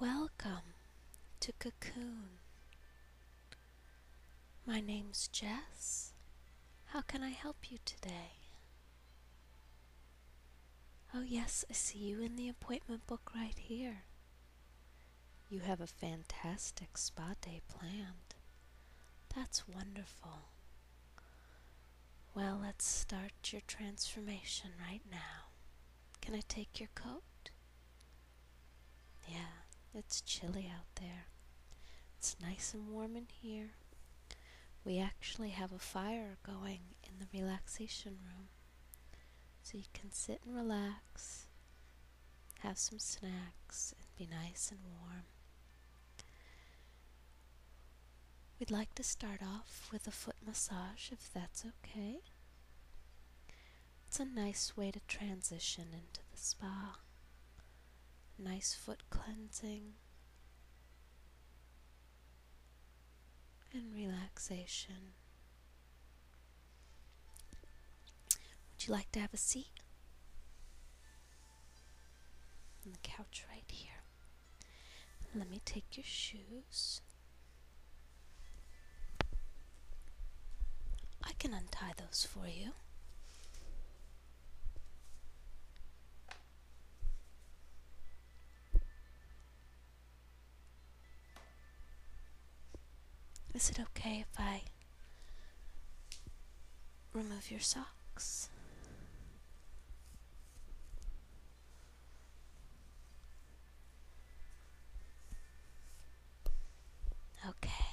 Welcome to Cocoon. My name's Jess. How can I help you today? Oh, yes, I see you in the appointment book right here. You have a fantastic spa day planned. That's wonderful. Well, let's start your transformation right now. Can I take your coat? Yeah, it's chilly out there. It's nice and warm in here. We actually have a fire going in the relaxation room. So you can sit and relax, have some snacks, and be nice and warm. We'd like to start off with a foot massage if that's okay. It's a nice way to transition into the spa. Nice foot cleansing and relaxation. Would you like to have a seat? On the couch right here. Let me take your shoes. I can untie those for you. Is it okay if I remove your socks? Okay.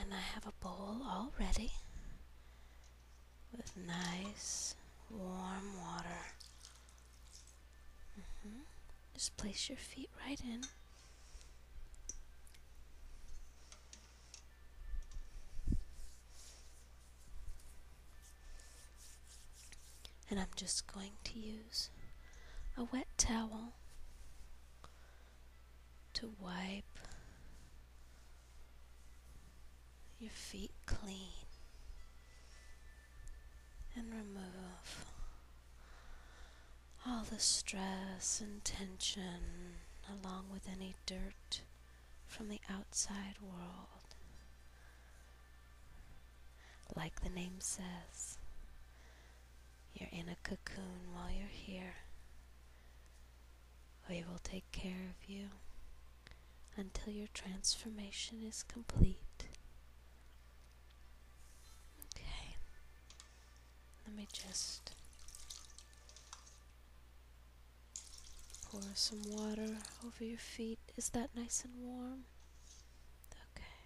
And I have a bowl all ready with nice warm water. Mm-hmm. Just place your feet right in. And I'm just going to use a wet towel to wipe your feet clean and remove all the stress and tension along with any dirt from the outside world. Like the name says, you're in a cocoon while you're here. We will take care of you until your transformation is complete. Okay, let me just Pour some water over your feet. Is that nice and warm? Okay.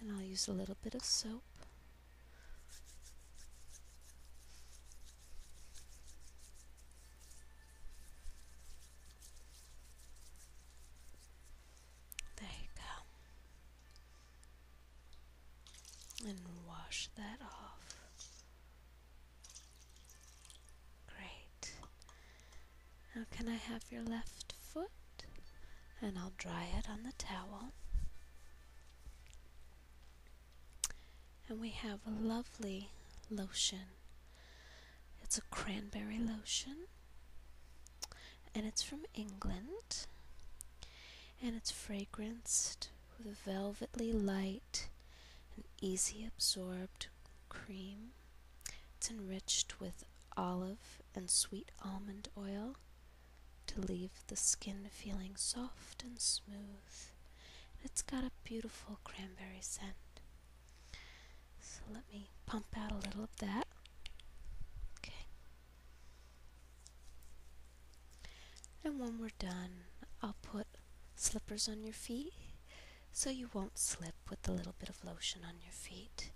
And I'll use a little bit of soap. There you go. And wash that off. Great. Now, can I have your left foot? And I'll dry it on the towel. And we have a lovely lotion. It's a cranberry lotion. And it's from England. And it's fragranced with a velvety light an easy absorbed cream. It's enriched with olive and sweet almond oil to leave the skin feeling soft and smooth. it's got a beautiful cranberry scent. So let me pump out a little of that. Okay. And when we're done, I'll put slippers on your feet so you won't slip with the little bit of lotion on your feet.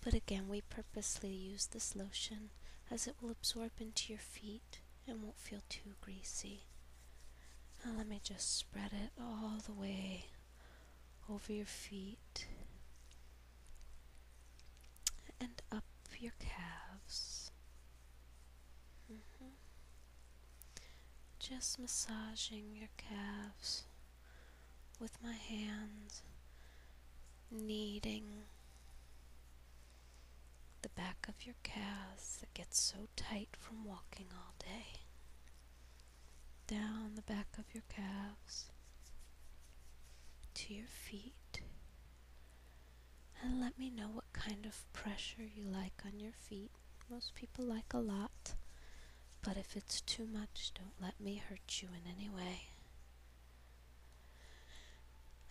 But again, we purposely use this lotion as it will absorb into your feet and won't feel too greasy. Now let me just spread it all the way over your feet and up your calves. Mm-hmm. Just massaging your calves with my hands, kneading the back of your calves that gets so tight from walking all day. Down the back of your calves to your feet and let me know what kind of pressure you like on your feet. Most people like a lot, but if it's too much, don't let me hurt you in any way.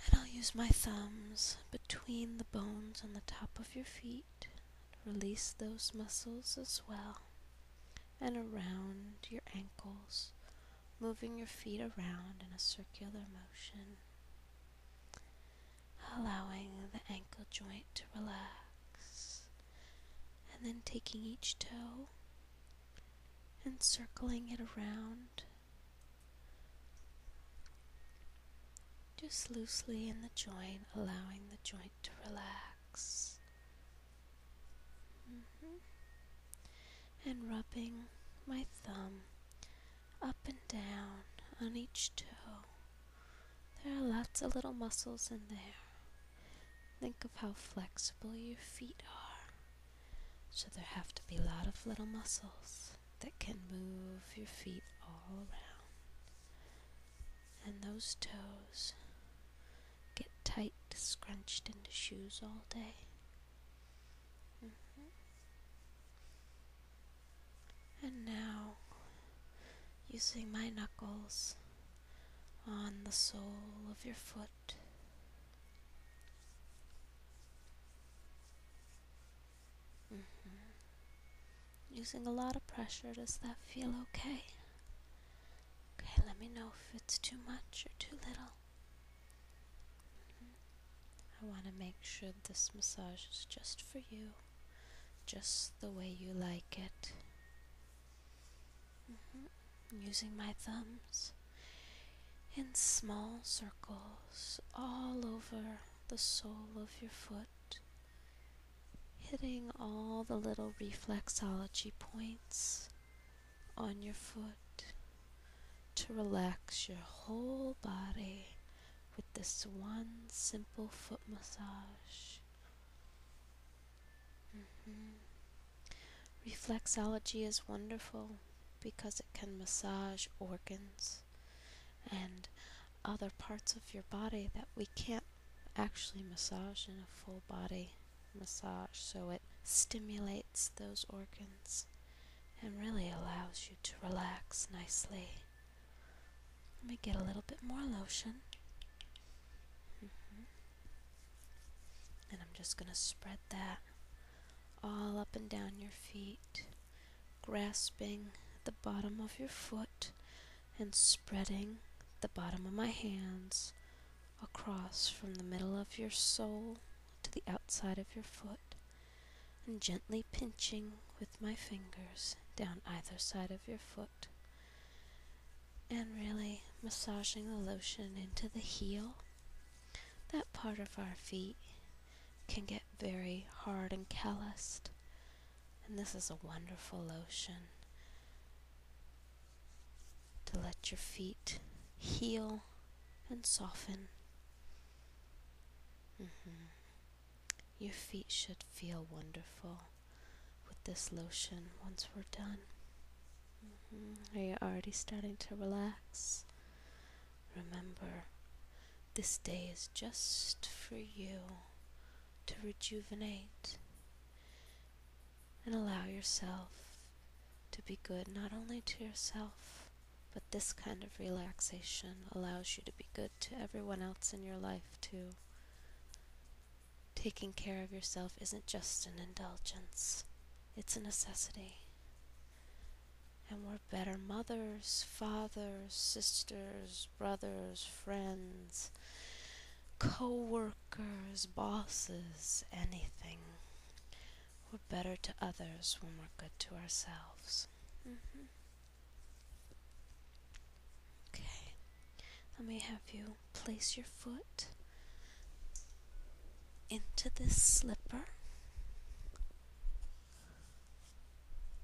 And I'll use my thumbs between the bones on the top of your feet. Release those muscles as well. And around your ankles, moving your feet around in a circular motion allowing the ankle joint to relax, and then taking each toe and circling it around just loosely in the joint, allowing the joint to relax. Mm-hmm. And rubbing my thumb up and down on each toe. There are lots of little muscles in there. Think of how flexible your feet are. So there have to be a lot of little muscles that can move your feet all around. And those toes get tight, scrunched into shoes all day. Mm-hmm. And now, using my knuckles on the sole of your foot. Mm-hmm. Using a lot of pressure, does that feel okay? Okay, let me know if it's too much or too little. Mm-hmm. I want to make sure this massage is just for you, just the way you like it. Mm-hmm. Using my thumbs in small circles all over the sole of your foot, hitting all the little reflexology points on your foot to relax your whole body with this one simple foot massage. Mm-hmm. Reflexology is wonderful because it can massage organs and other parts of your body that we can't actually massage in a full body massage. So it stimulates those organs and really allows you to relax nicely. Let me get a little bit more lotion. And I'm just going to spread that all up and down your feet, grasping the bottom of your foot and spreading the bottom of my hands across from the middle of your sole to the outside of your foot and gently pinching with my fingers down either side of your foot, and really massaging the lotion into the heel. That part of our feet can get very hard and calloused, and this is a wonderful lotion to let your feet heal and soften. Mm-hmm. Your feet should feel wonderful with this lotion once we're done. Mm-hmm. Are you already starting to relax? Remember, this day is just for you to rejuvenate and allow yourself to be good not only to yourself but this kind of relaxation allows you to be good to everyone else in your life, too. Taking care of yourself isn't just an indulgence, it's a necessity. And we're better mothers, fathers, sisters, brothers, friends, co workers, bosses, anything. We're better to others when we're good to ourselves. Mm -hmm. Okay, let me have you place your foot into this slipper.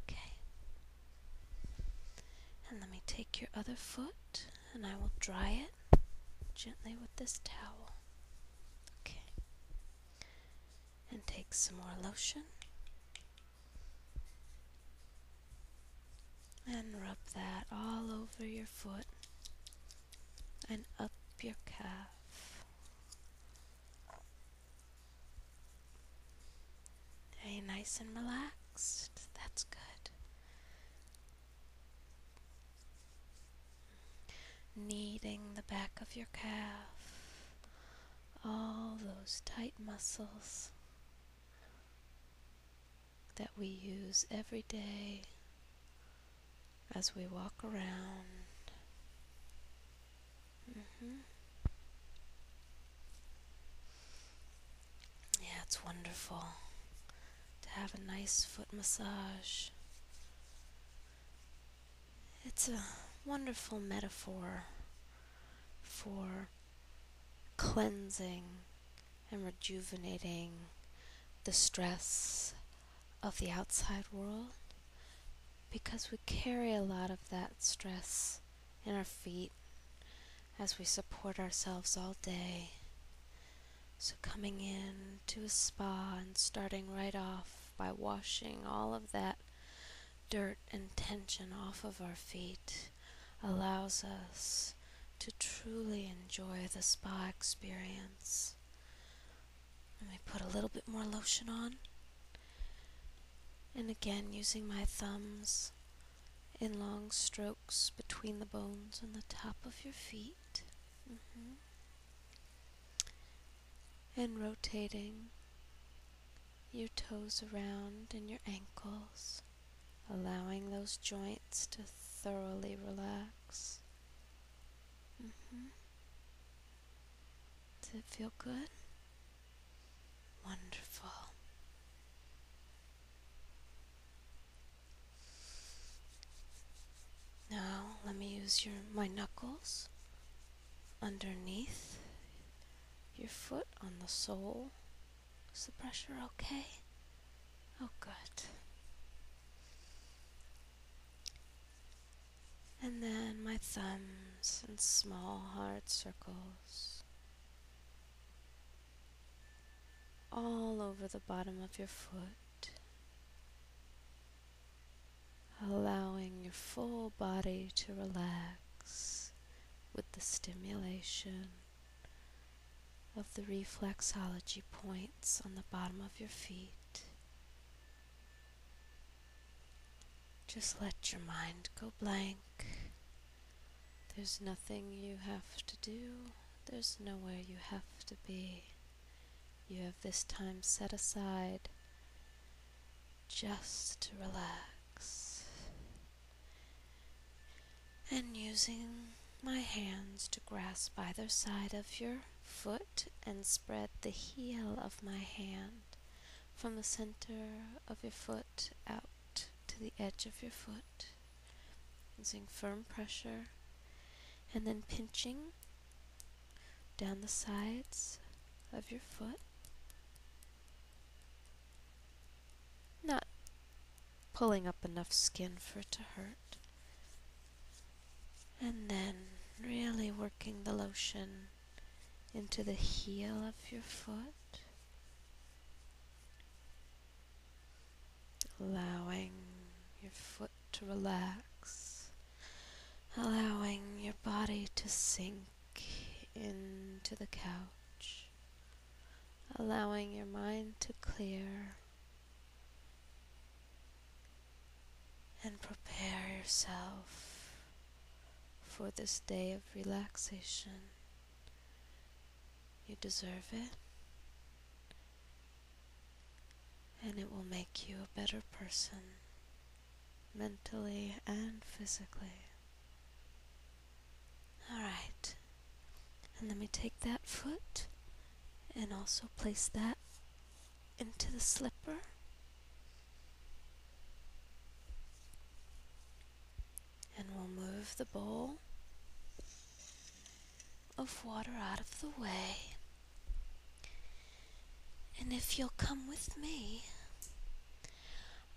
Okay, and let me take your other foot and I will dry it gently with this towel. Okay, and take some more lotion. And rub that all over your foot and up your calf. Hey, nice and relaxed. That's good. Kneading the back of your calf all those tight muscles that we use every day as we walk around. Mm-hmm. Yeah, it's wonderful to have a nice foot massage. It's a wonderful metaphor for cleansing and rejuvenating the stress of the outside world because we carry a lot of that stress in our feet as we support ourselves all day. So, coming in to a spa and starting right off by washing all of that dirt and tension off of our feet allows us to truly enjoy the spa experience. Let me put a little bit more lotion on. And again, using my thumbs in long strokes between the bones on the top of your feet. Mm-hmm. And rotating your toes around and your ankles, allowing those joints to thoroughly relax. Mm -hmm. Does it feel good? Wonderful. Now, let me use your my knuckles underneath your foot on the sole. Is the pressure okay? Oh, good. And then my thumbs in small hard circles all over the bottom of your foot allowing your full body to relax with the stimulation of the reflexology points on the bottom of your feet. Just let your mind go blank. There's nothing you have to do. There's nowhere you have to be. You have this time set aside just to relax and using my hands to grasp either side of your foot and spread the heel of my hand from the center of your foot out to the edge of your foot using firm pressure and then pinching down the sides of your foot not pulling up enough skin for it to hurt. And then really working the lotion into the heel of your foot. Allowing your foot to relax. Allowing your body to sink into the couch, allowing your mind to clear and prepare yourself for this day of relaxation. You deserve it, and it will make you a better person mentally and physically. Alright. And let me take that foot and also place that into the slipper. And we'll move the bowl of water out of the way. And if you'll come with me,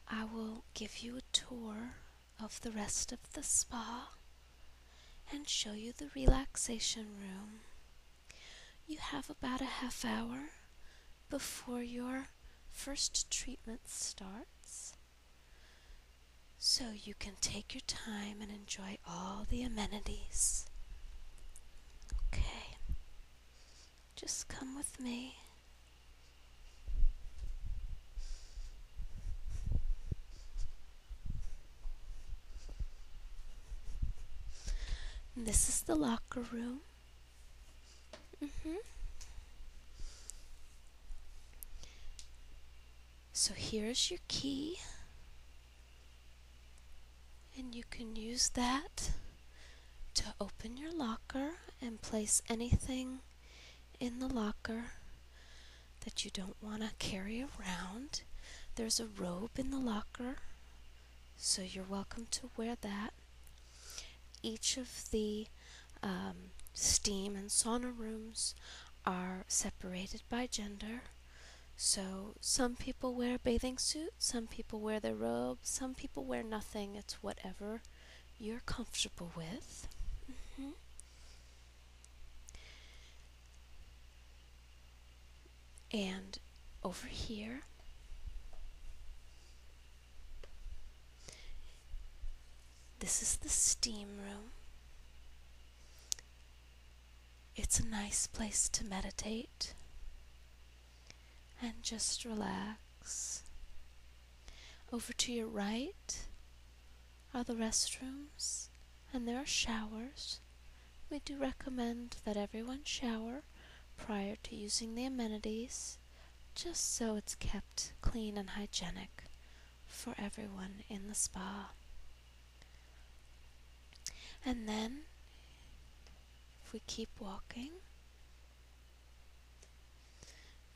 I will give you a tour of the rest of the spa and show you the relaxation room. You have about a half hour before your first treatment starts, so you can take your time and enjoy all the amenities. Okay. Just come with me. This is the locker room. hmm So here's your key. And you can use that to open your locker and place anything in the locker that you don't want to carry around. There's a robe in the locker, so you're welcome to wear that. Each of the um, steam and sauna rooms are separated by gender. So some people wear bathing suits, some people wear their robes, some people wear nothing. It's whatever you're comfortable with. Mm-hmm. And over here, this is the steam room. It's a nice place to meditate and just relax. Over to your right are the restrooms and there are showers. We do recommend that everyone shower prior to using the amenities just so it's kept clean and hygienic for everyone in the spa. And then, if we keep walking,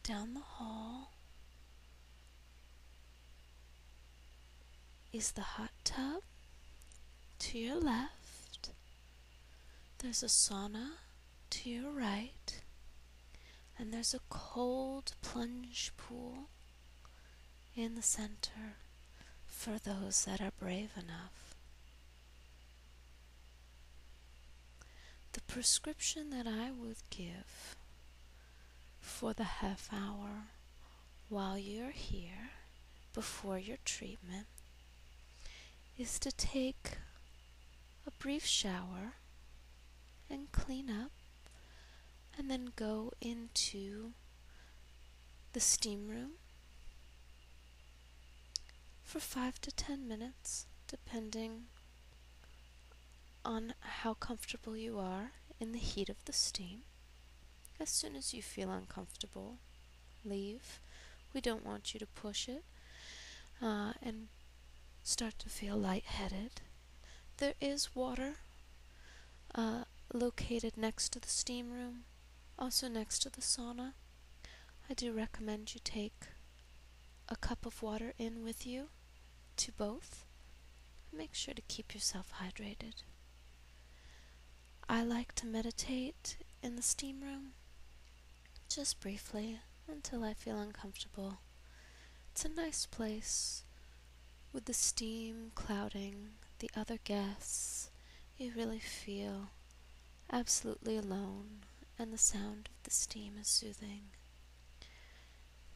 down the hall is the hot tub. To your left, there's a sauna. To your right, and there's a cold plunge pool in the center for those that are brave enough. The prescription that I would give for the half hour while you're here before your treatment is to take a brief shower and clean up and then go into the steam room for five to ten minutes, depending on how comfortable you are in the heat of the steam. As soon as you feel uncomfortable, leave. We don't want you to push it uh, and start to feel lightheaded. There is water uh, located next to the steam room, also next to the sauna. I do recommend you take a cup of water in with you to both. Make sure to keep yourself hydrated. I like to meditate in the steam room just briefly until I feel uncomfortable. It's a nice place with the steam clouding the other guests. You really feel absolutely alone, and the sound of the steam is soothing.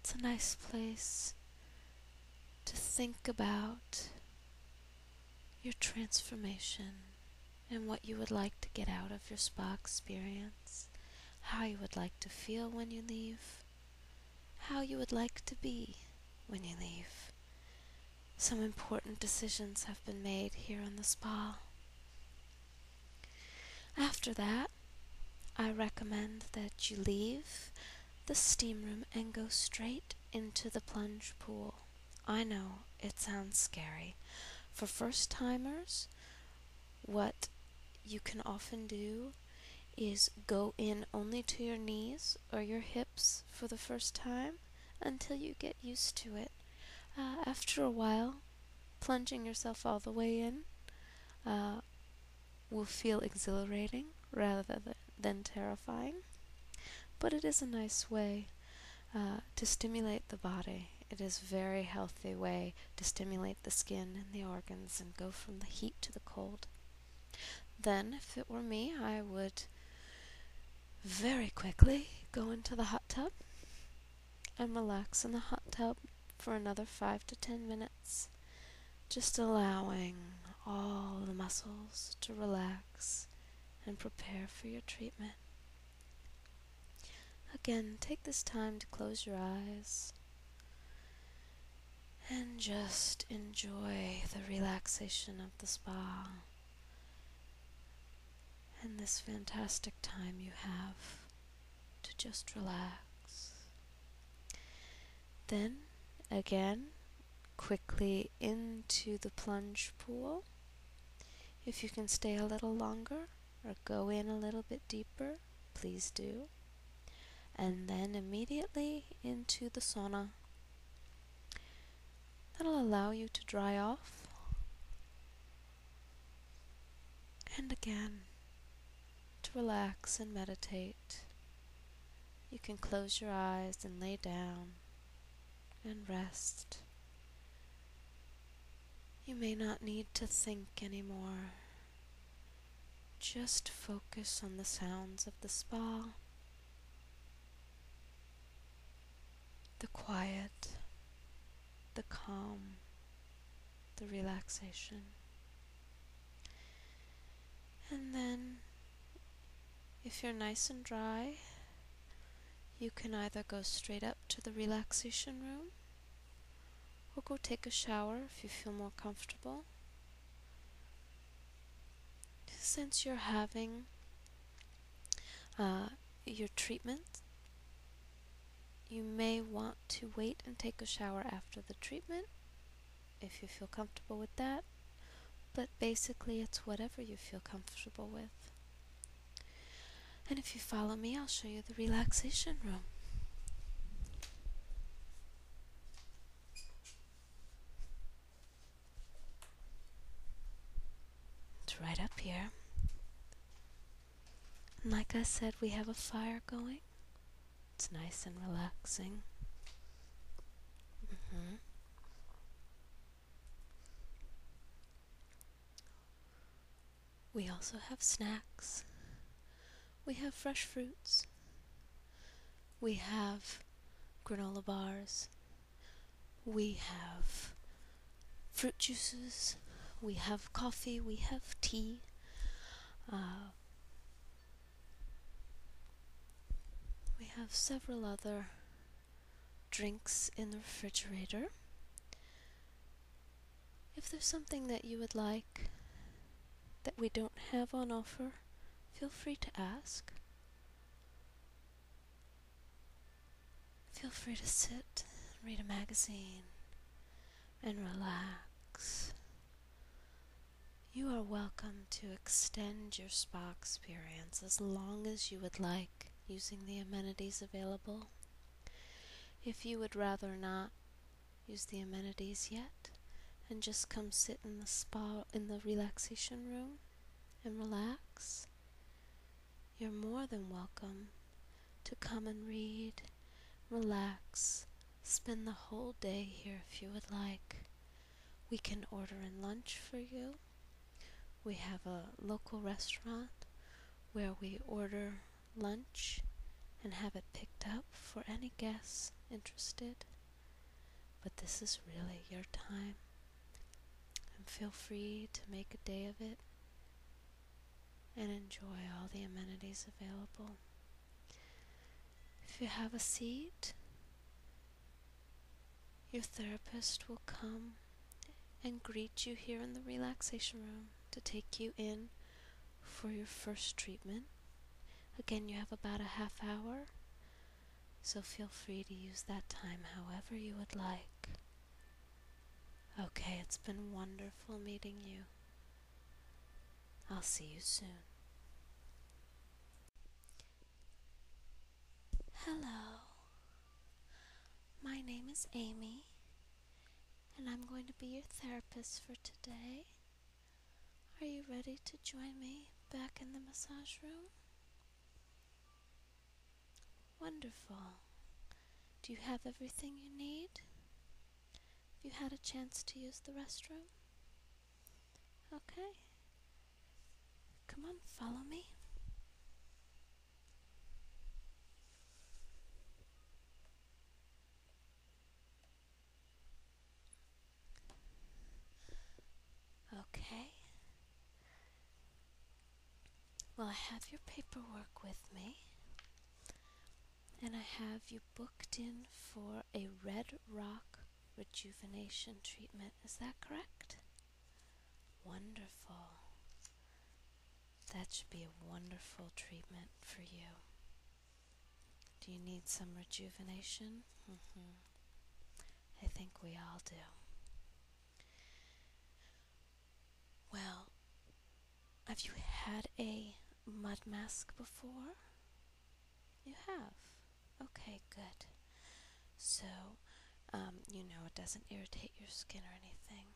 It's a nice place to think about your transformation and what you would like to get out of your spa experience, how you would like to feel when you leave, how you would like to be when you leave. Some important decisions have been made here in the spa. After that, I recommend that you leave the steam room and go straight into the plunge pool. I know it sounds scary. For first timers, what you can often do is go in only to your knees or your hips for the first time until you get used to it. Uh, after a while, plunging yourself all the way in uh, will feel exhilarating rather than terrifying. But it is a nice way uh, to stimulate the body. It is a very healthy way to stimulate the skin and the organs and go from the heat to the cold. Then, if it were me, I would very quickly go into the hot tub and relax in the hot tub for another 5 to 10 minutes, just allowing all the muscles to relax and prepare for your treatment. Again, take this time to close your eyes and just enjoy the relaxation of the spa and this fantastic time you have to just relax. Then again, quickly into the plunge pool. If you can stay a little longer or go in a little bit deeper, please do. And then immediately into the sauna. That'll allow you to dry off and again to relax and meditate. You can close your eyes and lay down and rest. You may not need to think anymore. Just focus on the sounds of the spa the quiet, the calm, the relaxation. And then, if you're nice and dry, you can either go straight up to the relaxation room or go take a shower if you feel more comfortable. Since you're having uh, your treatment you may want to wait and take a shower after the treatment if you feel comfortable with that, but basically it's whatever you feel comfortable with. And if you follow me, I'll show you the relaxation room. It's right up here. And like I said, we have a fire going. It's nice and relaxing. Mm-hmm. We also have snacks. We have fresh fruits. We have granola bars. We have fruit juices, we have coffee, we have tea. Uh, we have several other drinks in the refrigerator. If there's something that you would like that we don't have on offer, feel free to ask. Feel free to sit, read a magazine, and relax. You are welcome to extend your spa experience as long as you would like using the amenities available. If you would rather not use the amenities yet and just come sit in the spa in the relaxation room and relax, you're more than welcome to come and read, relax, spend the whole day here if you would like. We can order in lunch for you. We have a local restaurant where we order lunch and have it picked up for any guests interested. But this is really your time. And feel free to make a day of it and enjoy all the amenities available. If you have a seat, your therapist will come and greet you here in the relaxation room to take you in for your first treatment. Again, you have about a half hour, so feel free to use that time however you would like. Okay, it's been wonderful meeting you. I'll see you soon. Hello. My name is Amy, and I'm going to be your therapist for today. Are you ready to join me back in the massage room? Wonderful. Do you have everything you need? Have you had a chance to use the restroom? Okay. Come on, follow me. Okay. Well, I have your paperwork with me, and I have you booked in for a red rock rejuvenation treatment. Is that correct? Wonderful. That should be a wonderful treatment for you. Do you need some rejuvenation? Mm-hmm. I think we all do. Well, have you had a mud mask before? You have. Okay, good. So, um, you know, it doesn't irritate your skin or anything.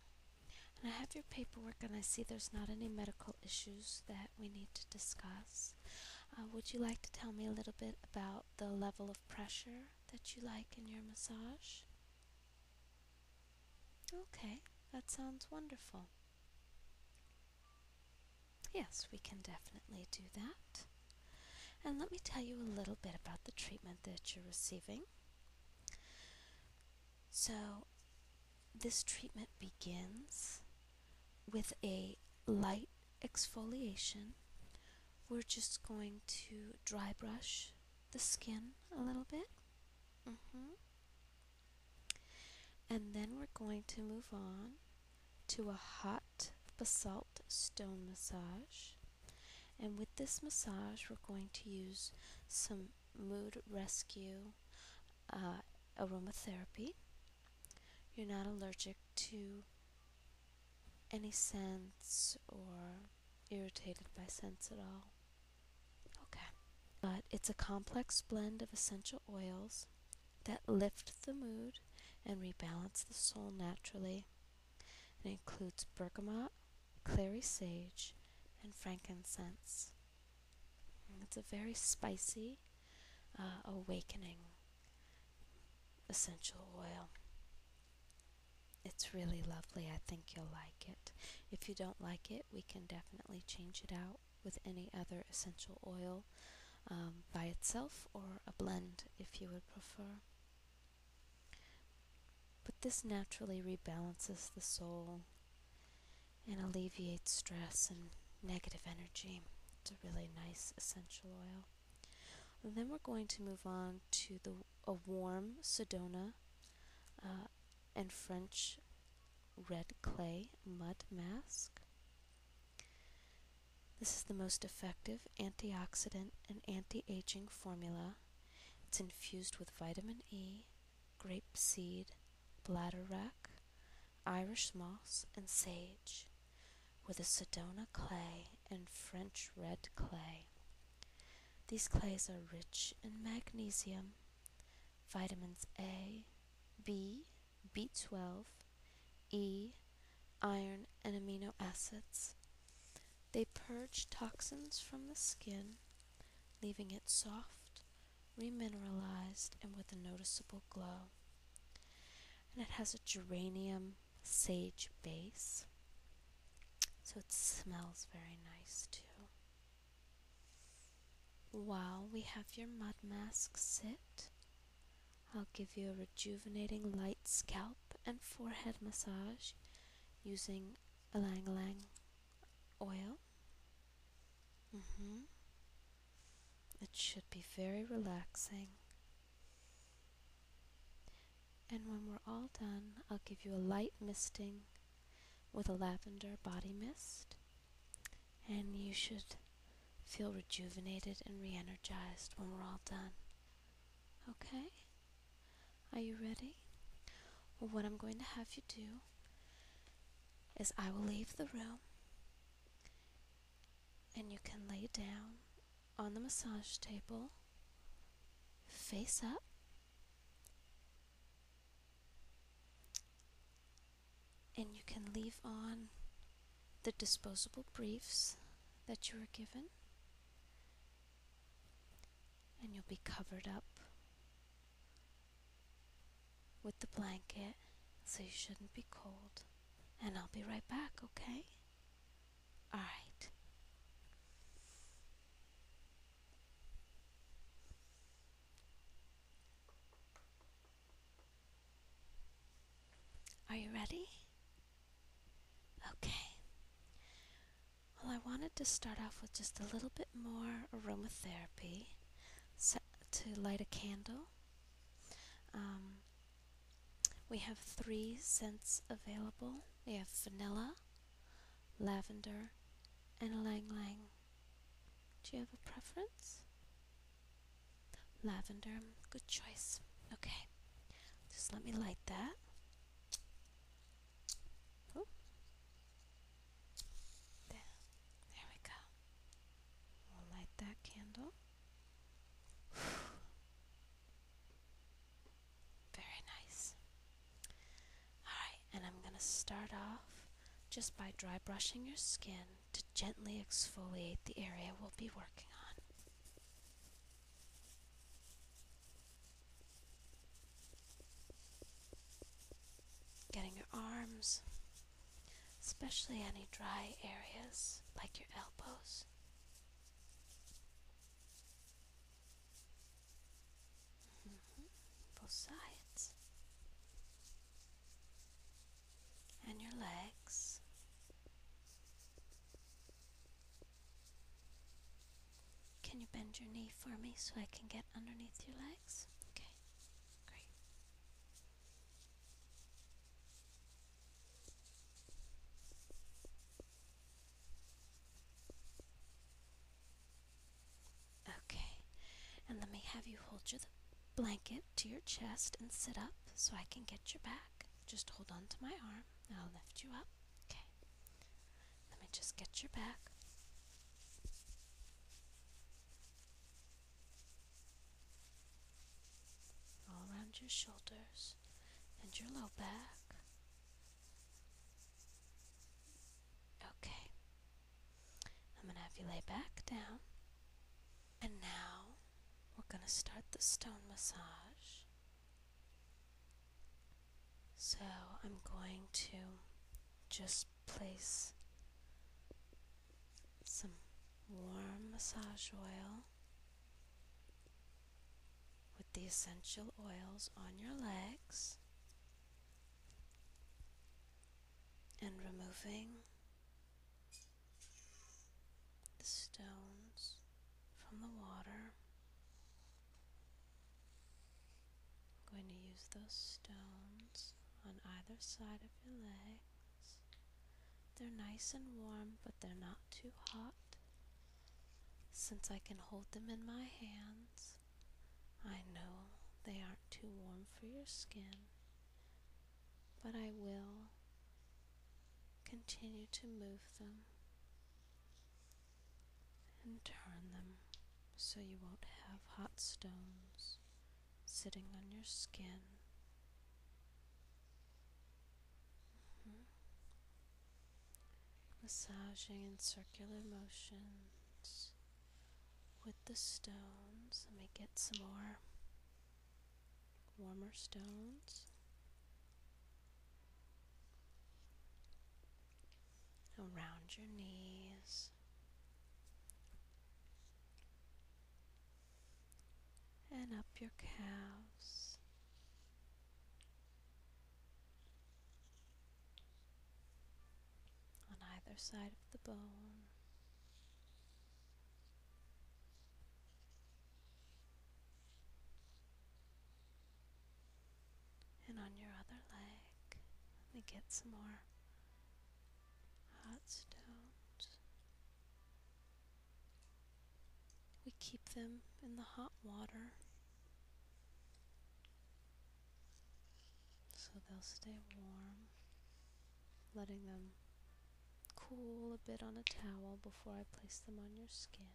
And I have your paperwork, and I see there's not any medical issues that we need to discuss. Uh, would you like to tell me a little bit about the level of pressure that you like in your massage? Okay, that sounds wonderful. Yes, we can definitely do that. And let me tell you a little bit about the treatment that you're receiving. So, this treatment begins with a light exfoliation. We're just going to dry brush the skin a little bit. Mm-hmm. And then we're going to move on to a hot basalt stone massage. And with this massage, we're going to use some mood rescue uh, aromatherapy. You're not allergic to any scents or irritated by scents at all. Okay. But it's a complex blend of essential oils that lift the mood and rebalance the soul naturally. It includes bergamot, clary sage, and frankincense. it's a very spicy uh, awakening essential oil. It's really lovely. I think you'll like it. If you don't like it, we can definitely change it out with any other essential oil um, by itself or a blend if you would prefer. But this naturally rebalances the soul and alleviates stress and negative energy. It's a really nice essential oil. then we're going to move on to the a warm Sedona uh, and French red clay mud mask. This is the most effective antioxidant and anti-aging formula. It's infused with vitamin E, grape seed, bladderwrack, Irish moss, and sage, with a Sedona clay and French red clay. These clays are rich in magnesium, vitamins A, B, B12, E, iron, and amino acids. They purge toxins from the skin, leaving it soft, remineralized, and with a noticeable glow. And it has a geranium sage base, so it smells very nice too. While we have your mud mask sit, I'll give you a rejuvenating light scalp and forehead massage using ylang ylang oil. Mm-hmm. It should be very relaxing. And when we're all done, I'll give you a light misting with a lavender body mist, and you should feel rejuvenated and re energized when we're all done. Okay? Are you ready? Well, what I'm going to have you do is I will leave the room and you can lay down on the massage table face up and you can leave on the disposable briefs that you were given and you'll be covered up with the blanket so you shouldn't be cold and I'll be right back okay all right are you ready? Okay. Well, I wanted to start off with just a little bit more aromatherapy to light a candle. Um, we have three scents available. We have vanilla, lavender, and lang lang. Do you have a preference? Lavender, good choice. Okay, just let me light that. There. there we go. We'll light that candle. Very nice. Alright, and I'm going to start off just by dry brushing your skin to gently exfoliate the area we'll be working on. Getting your arms, especially any dry areas like your elbows. Mm-hmm. Both sides. And your legs. Can you bend your knee for me so I can get underneath your legs? Okay, great. Okay, and let me have you hold your blanket to your chest and sit up so I can get your back. Just hold on to my arm I'll lift you up. Okay, let me just get your back. All around your shoulders and your low back. Okay. I'm going to have you lay back down. And now we're going to start the stone massage. So I'm going to just place some warm massage oil with the essential oils on your legs and removing the stones from the water. I'm going to use those stones on either side of your legs. They're nice and warm, but they're not too hot since I can hold them in my hands. I know they aren't too warm for your skin, but I will continue to move them and turn them so you won't have hot stones sitting on your skin. Mm-hmm. Massaging in circular motions with the stones. Let me get some more warmer stones. Around your knees. And up your calves on either side of the bone. And on your other leg, let me get some more hot stones. We keep them in the hot water so they'll stay warm, letting them cool a bit on a towel before I place them on your skin,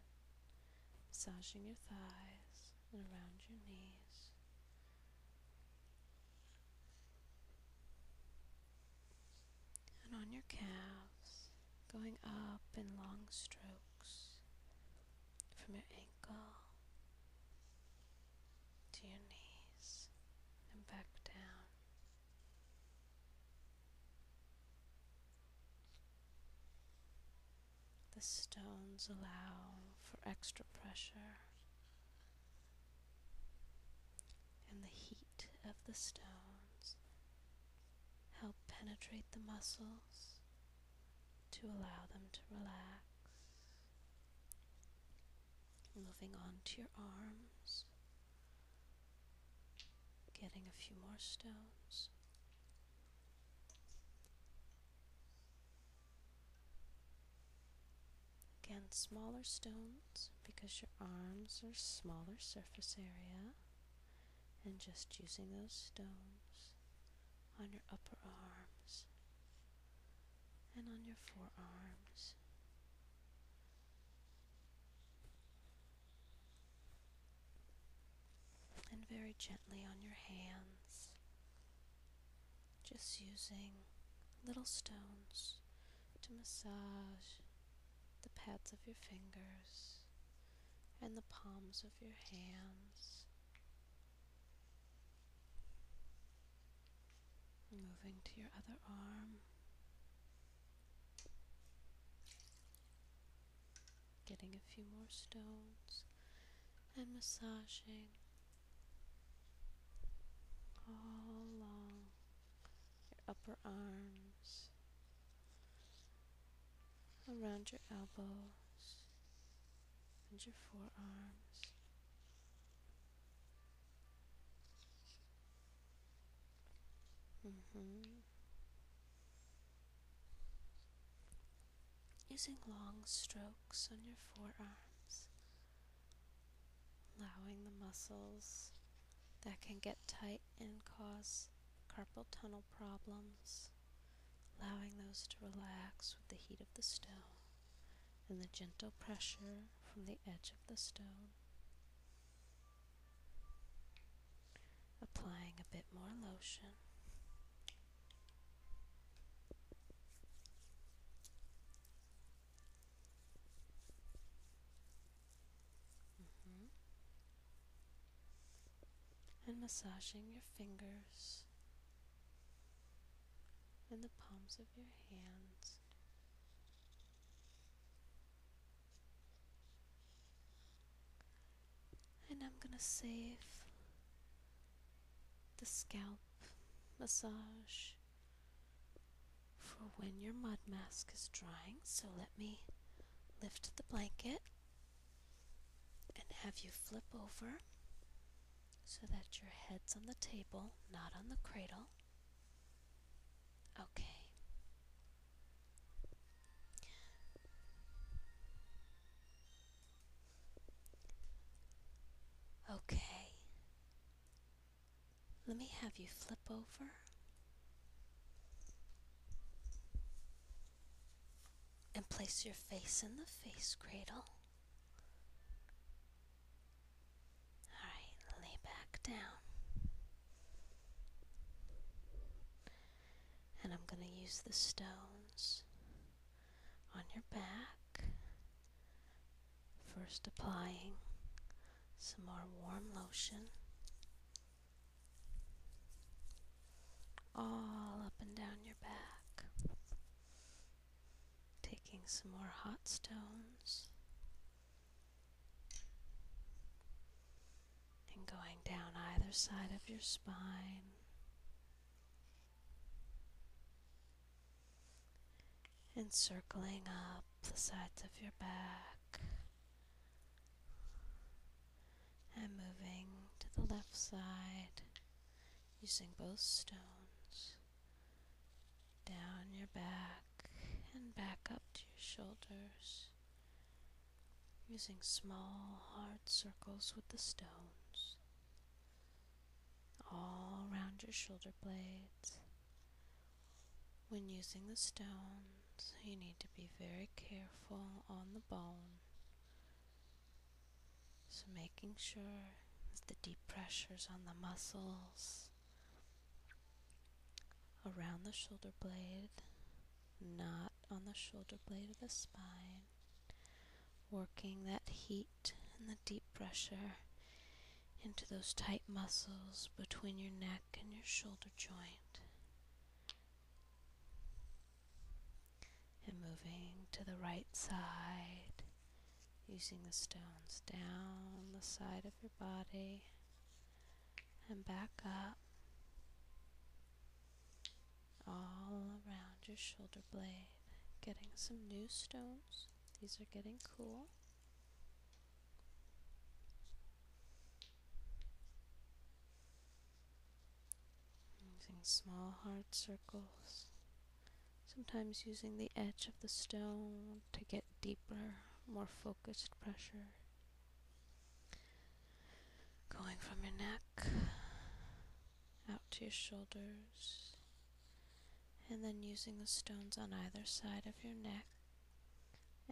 massaging your thighs and around your knees. And on your calves, going up in long strokes, from your ankle to your knees and back down. The stones allow for extra pressure and the heat of the stones help penetrate the muscles to allow them to relax. Moving on to your arms, getting a few more stones. Again, smaller stones because your arms are smaller surface area, and just using those stones on your upper arms and on your forearms. And very gently on your hands, just using little stones to massage the pads of your fingers and the palms of your hands. Moving to your other arm. Getting a few more stones and massaging all along your upper arms, around your elbows, and your forearms. Mm-hmm. Using long strokes on your forearms, allowing the muscles that can get tight and cause carpal tunnel problems allowing those to relax with the heat of the stone and the gentle pressure from the edge of the stone. Applying a bit more lotion. Mm-hmm. And massaging your fingers and the palms of your hands. And I'm going to save the scalp massage for when your mud mask is drying. So let me lift the blanket and have you flip over so that your head's on the table, not on the cradle. Okay. Okay. Let me have you flip over. And place your face in the face cradle. Alright, lay back down. And I'm going to use the stones on your back. First, applying some more warm lotion all up and down your back. Taking some more hot stones and going down either side of your spine. And circling up the sides of your back and moving to the left side using both stones down your back and back up to your shoulders, using small, hard circles with the stones all around your shoulder blades. When using the stones, you need to be very careful on the bone so, making sure that the deep pressures on the muscles around the shoulder blade, not on the shoulder blade of the spine, working that heat and the deep pressure into those tight muscles between your neck and your shoulder joint and moving to the right side, using the stones down the side of your body and back up all around your shoulder blade, getting some new stones. These are getting cool. Using small hard circles sometimes using the edge of the stone to get deeper, more focused pressure going from your neck out to your shoulders, and then using the stones on either side of your neck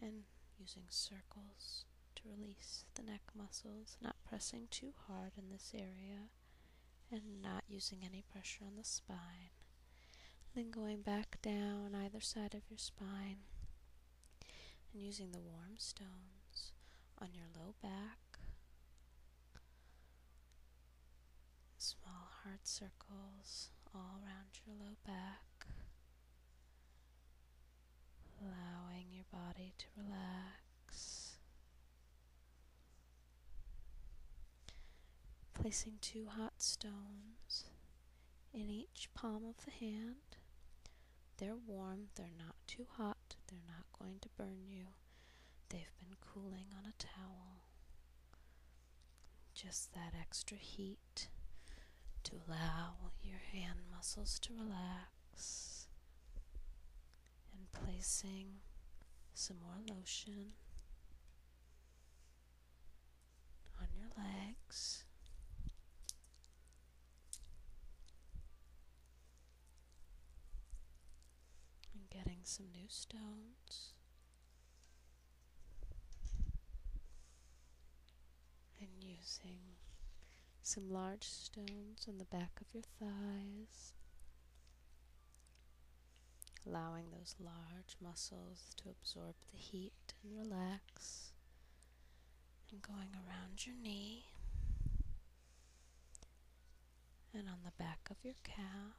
and using circles to release the neck muscles, not pressing too hard in this area and not using any pressure on the spine. Then going back down either side of your spine and using the warm stones on your low back, small heart circles all around your low back, allowing your body to relax placing two hot stones in each palm of the hand. They're warm, they're not too hot, they're not going to burn you. They've been cooling on a towel. Just that extra heat to allow your hand muscles to relax and placing some more lotion on your legs. And getting some new stones. And using some large stones on the back of your thighs allowing those large muscles to absorb the heat and relax. And going around your knee and on the back of your calf.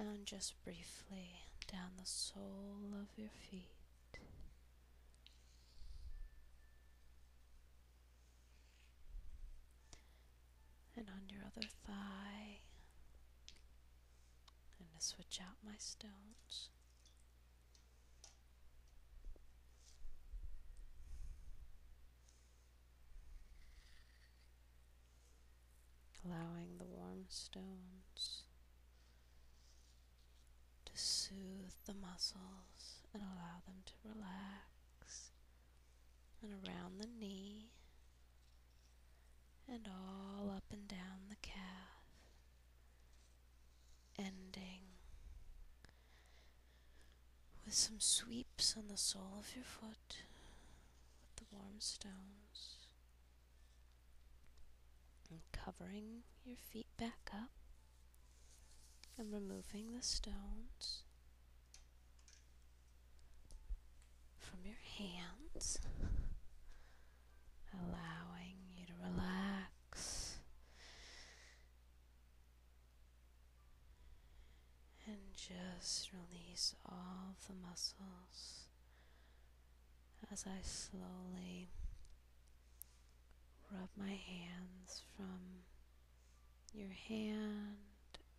And just briefly down the sole of your feet and on your other thigh. i going to switch out my stones. Allowing the warm stones to soothe the muscles and allow them to relax, and around the knee, and all up and down the calf, ending with some sweeps on the sole of your foot with the warm stones and covering your feet back up and removing the stones from your hands, allowing you to relax and just release all the muscles as I slowly rub my hands from your hand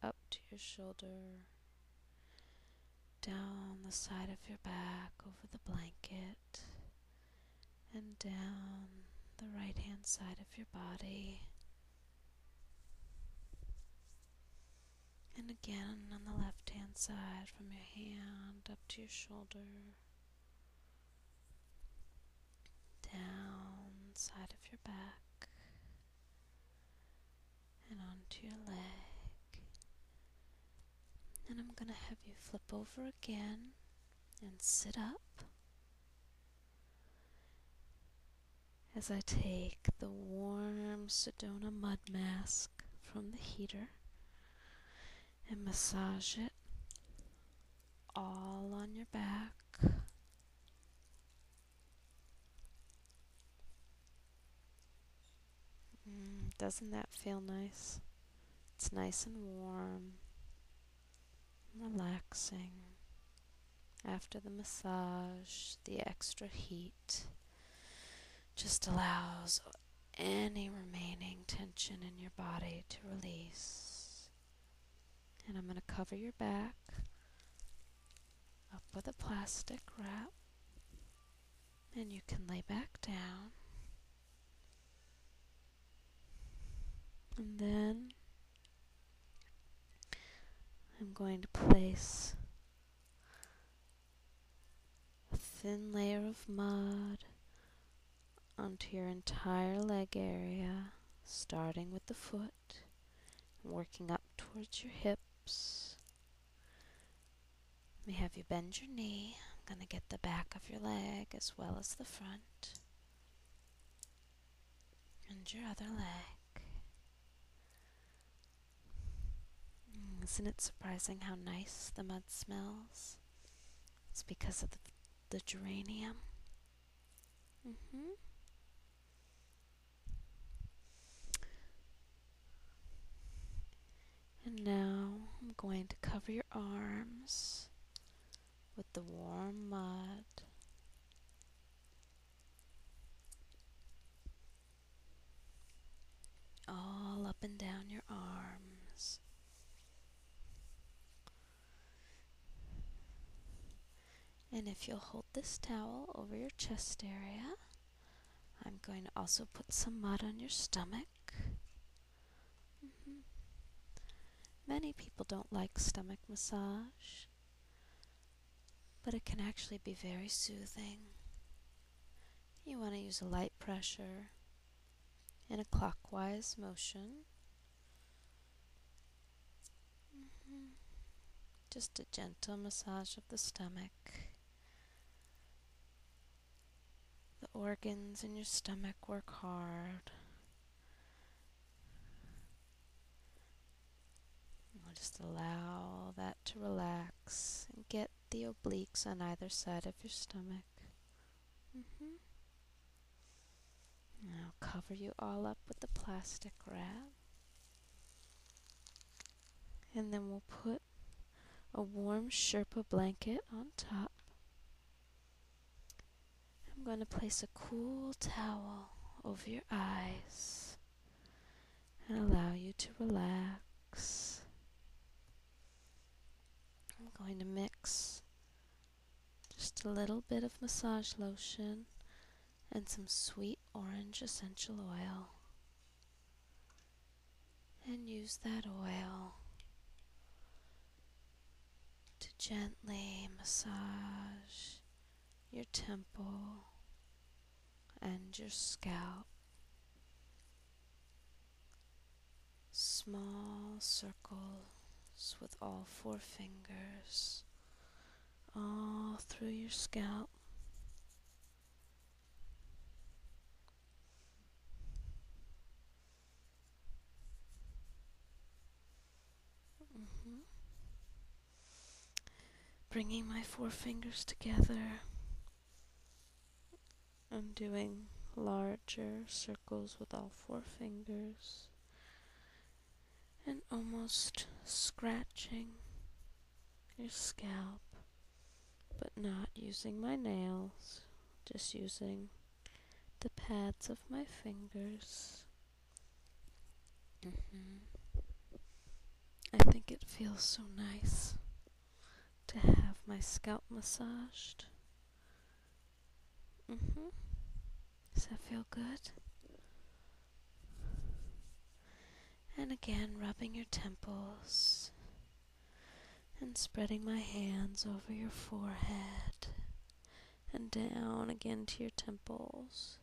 up to your shoulder, down the side of your back over the blanket, and down the right hand side of your body. And again on the left hand side from your hand up to your shoulder down side of your back and onto your leg. And I'm going to have you flip over again and sit up as I take the warm Sedona mud mask from the heater and massage it all on your back. Mm, doesn't that feel nice? It's nice and warm, relaxing. After the massage, the extra heat just allows any remaining tension in your body to release. And I'm going to cover your back up with a plastic wrap. And you can lay back down. And then I'm going to place a thin layer of mud onto your entire leg area, starting with the foot, working up towards your hips. Let me have you bend your knee. I'm going to get the back of your leg as well as the front. And your other leg. Isn't it surprising how nice the mud smells? It's because of the, geranium. Mm-hmm. And now I'm going to cover your arms with the warm mud. All up and down your arms. And if you'll hold this towel over your chest area, I'm going to also put some mud on your stomach. Mm-hmm. Many people don't like stomach massage, but it can actually be very soothing. You want to use a light pressure in a clockwise motion. Mm-hmm. Just a gentle massage of the stomach. The organs in your stomach work hard. Just allow that to relax and get the obliques on either side of your stomach Mm-hmm. Now cover you all up with the plastic wrap. And then we'll put a warm Sherpa blanket on top. I'm going to place a cool towel over your eyes and allow you to relax. I'm going to mix just a little bit of massage lotion and some sweet orange essential oil and use that oil to gently massage your temple and your scalp small circles with all four fingers all through your scalp. Mm-hmm. Bringing my four fingers together I'm doing larger circles with all four fingers and almost scratching your scalp, but not using my nails, just using the pads of my fingers. Mm-hmm. I think it feels so nice to have my scalp massaged. Mm hmm Does that feel good? And again, rubbing your temples and spreading my hands over your forehead and down again to your temples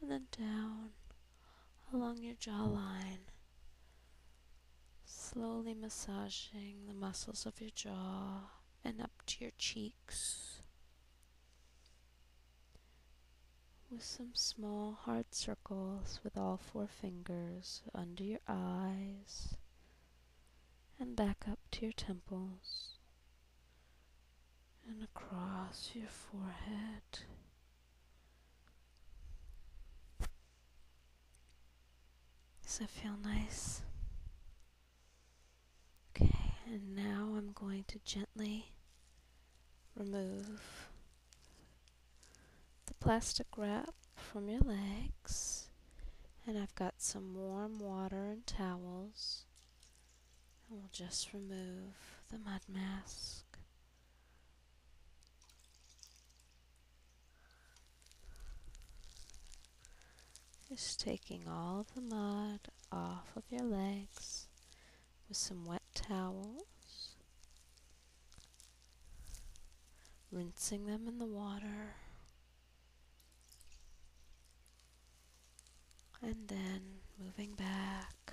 and then down along your jawline Slowly massaging the muscles of your jaw and up to your cheeks with some small hard circles with all four fingers under your eyes and back up to your temples and across your forehead does that feel nice? Okay, and now I'm going to gently remove the plastic wrap from your legs. And I've got some warm water and towels. And we'll just remove the mud mask. Just taking all the mud off of your legs with some wet towels, rinsing them in the water, and then moving back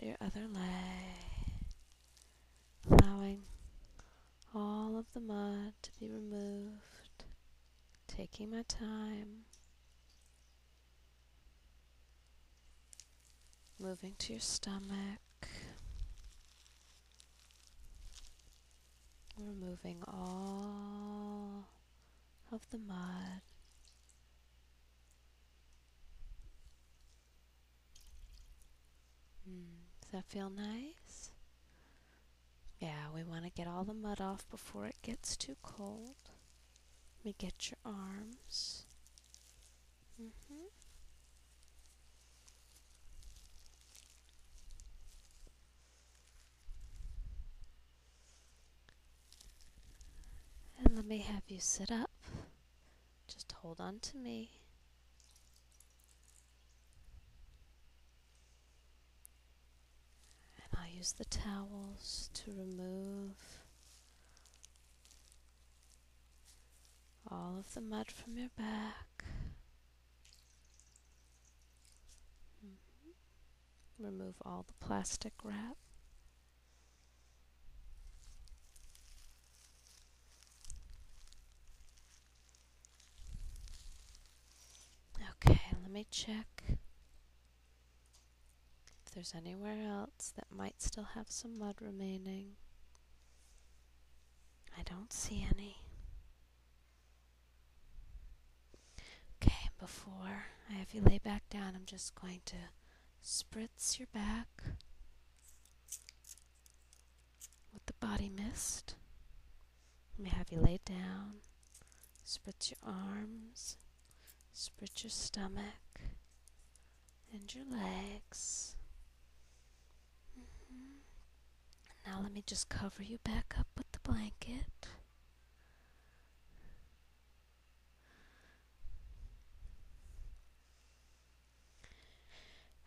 your other leg allowing all of the mud to be removed, taking my time, moving to your stomach, removing all of the mud. Mm, does that feel nice? Yeah, we want to get all the mud off before it gets too cold. Let me get your arms. Mm-hmm. And let me have you sit up just hold on to me. And I'll use the towels to remove all of the mud from your back. Mm-hmm. Remove all the plastic wrap. Okay, let me check if there's anywhere else that might still have some mud remaining. I don't see any. Okay, before I have you lay back down, I'm just going to spritz your back. With the body missed. Let me have you laid down, spread your arms, spread your stomach, and your legs. Mm-hmm. Now let me just cover you back up with the blanket.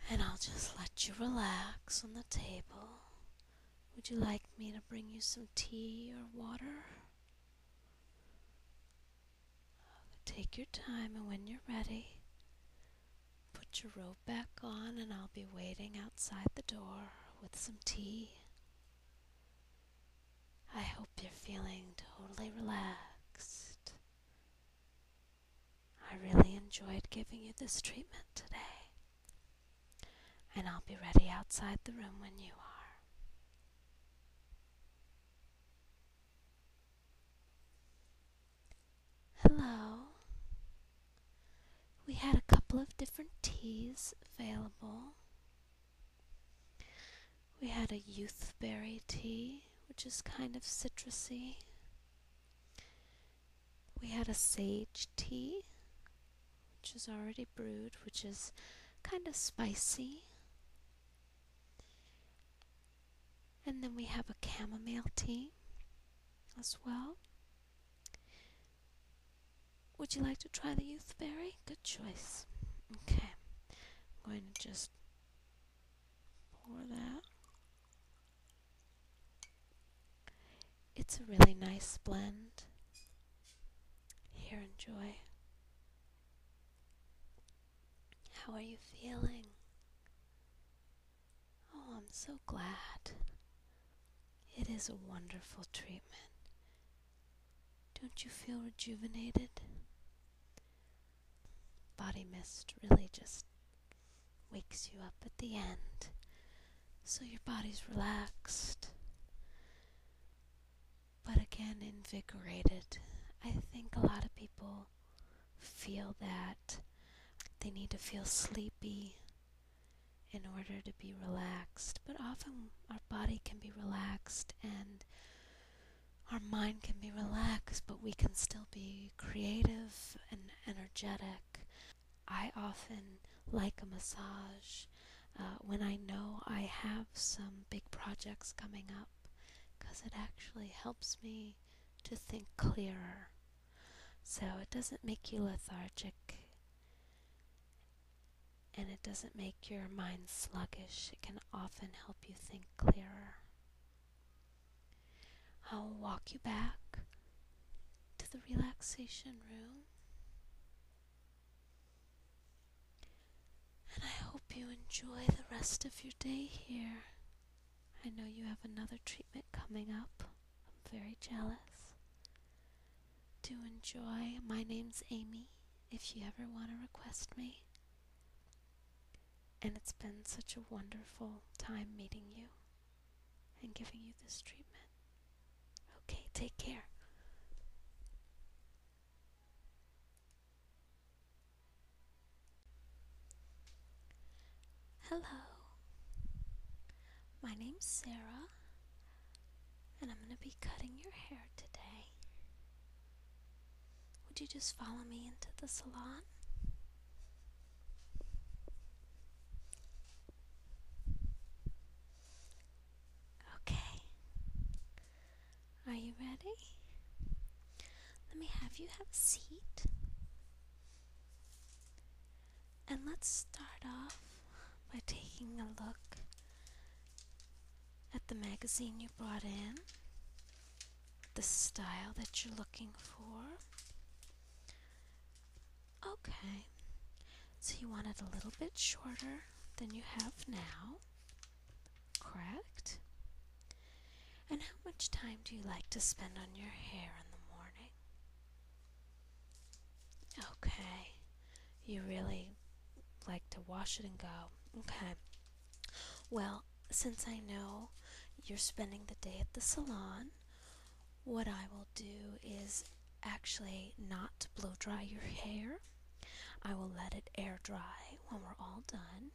And I'll just let you relax on the table. Would you like me to bring you some tea or water? Take your time, and when you're ready, put your robe back on, and I'll be waiting outside the door with some tea. I hope you're feeling totally relaxed I really enjoyed giving you this treatment today, and I'll be ready outside the room when you are. Hello. We had a couple of different teas available. We had a youthberry tea, which is kind of citrusy we had a sage tea, which is already brewed, which is kind of spicy. And then we have a chamomile tea as well. Would you like to try the youth berry? Good choice. Okay. I'm going to just for that. It's a really nice blend. Here, enjoy. How are you feeling? Oh, I'm so glad. It is a wonderful treatment. Don't you feel rejuvenated? Body mist really just wakes you up at the end. So your body's relaxed, but again invigorated. I think a lot of people feel that they need to feel sleepy in order to be relaxed, but often our body can be relaxed and our mind can be relaxed, but we can still be creative and energetic. I often like a massage uh, when I know I have some big projects coming up because it actually helps me to think clearer. So it doesn't make you lethargic and it doesn't make your mind sluggish. It can often help you think clearer. I'll walk you back to the relaxation room. And I hope you enjoy the rest of your day here. I know you have another treatment coming up. I'm very jealous. Do enjoy. My name's Amy, if you ever want to request me. And it's been such a wonderful time meeting you and giving you this treatment. Okay, take care. Hello. My name's Sarah, and I'm going to be cutting your hair today. Would you just follow me into the salon? Okay. Are you ready? Let me have you have a seat. And let's start off by taking a look at the magazine you brought in the style that you're looking for. Okay, so you want it a little bit shorter than you have now, correct? And how much time do you like to spend on your hair in the morning? Okay, you really like to wash it and go. Okay, well, since I know you're spending the day at the salon, what I will do is actually not blow dry your hair. I will let it air dry when we're all done,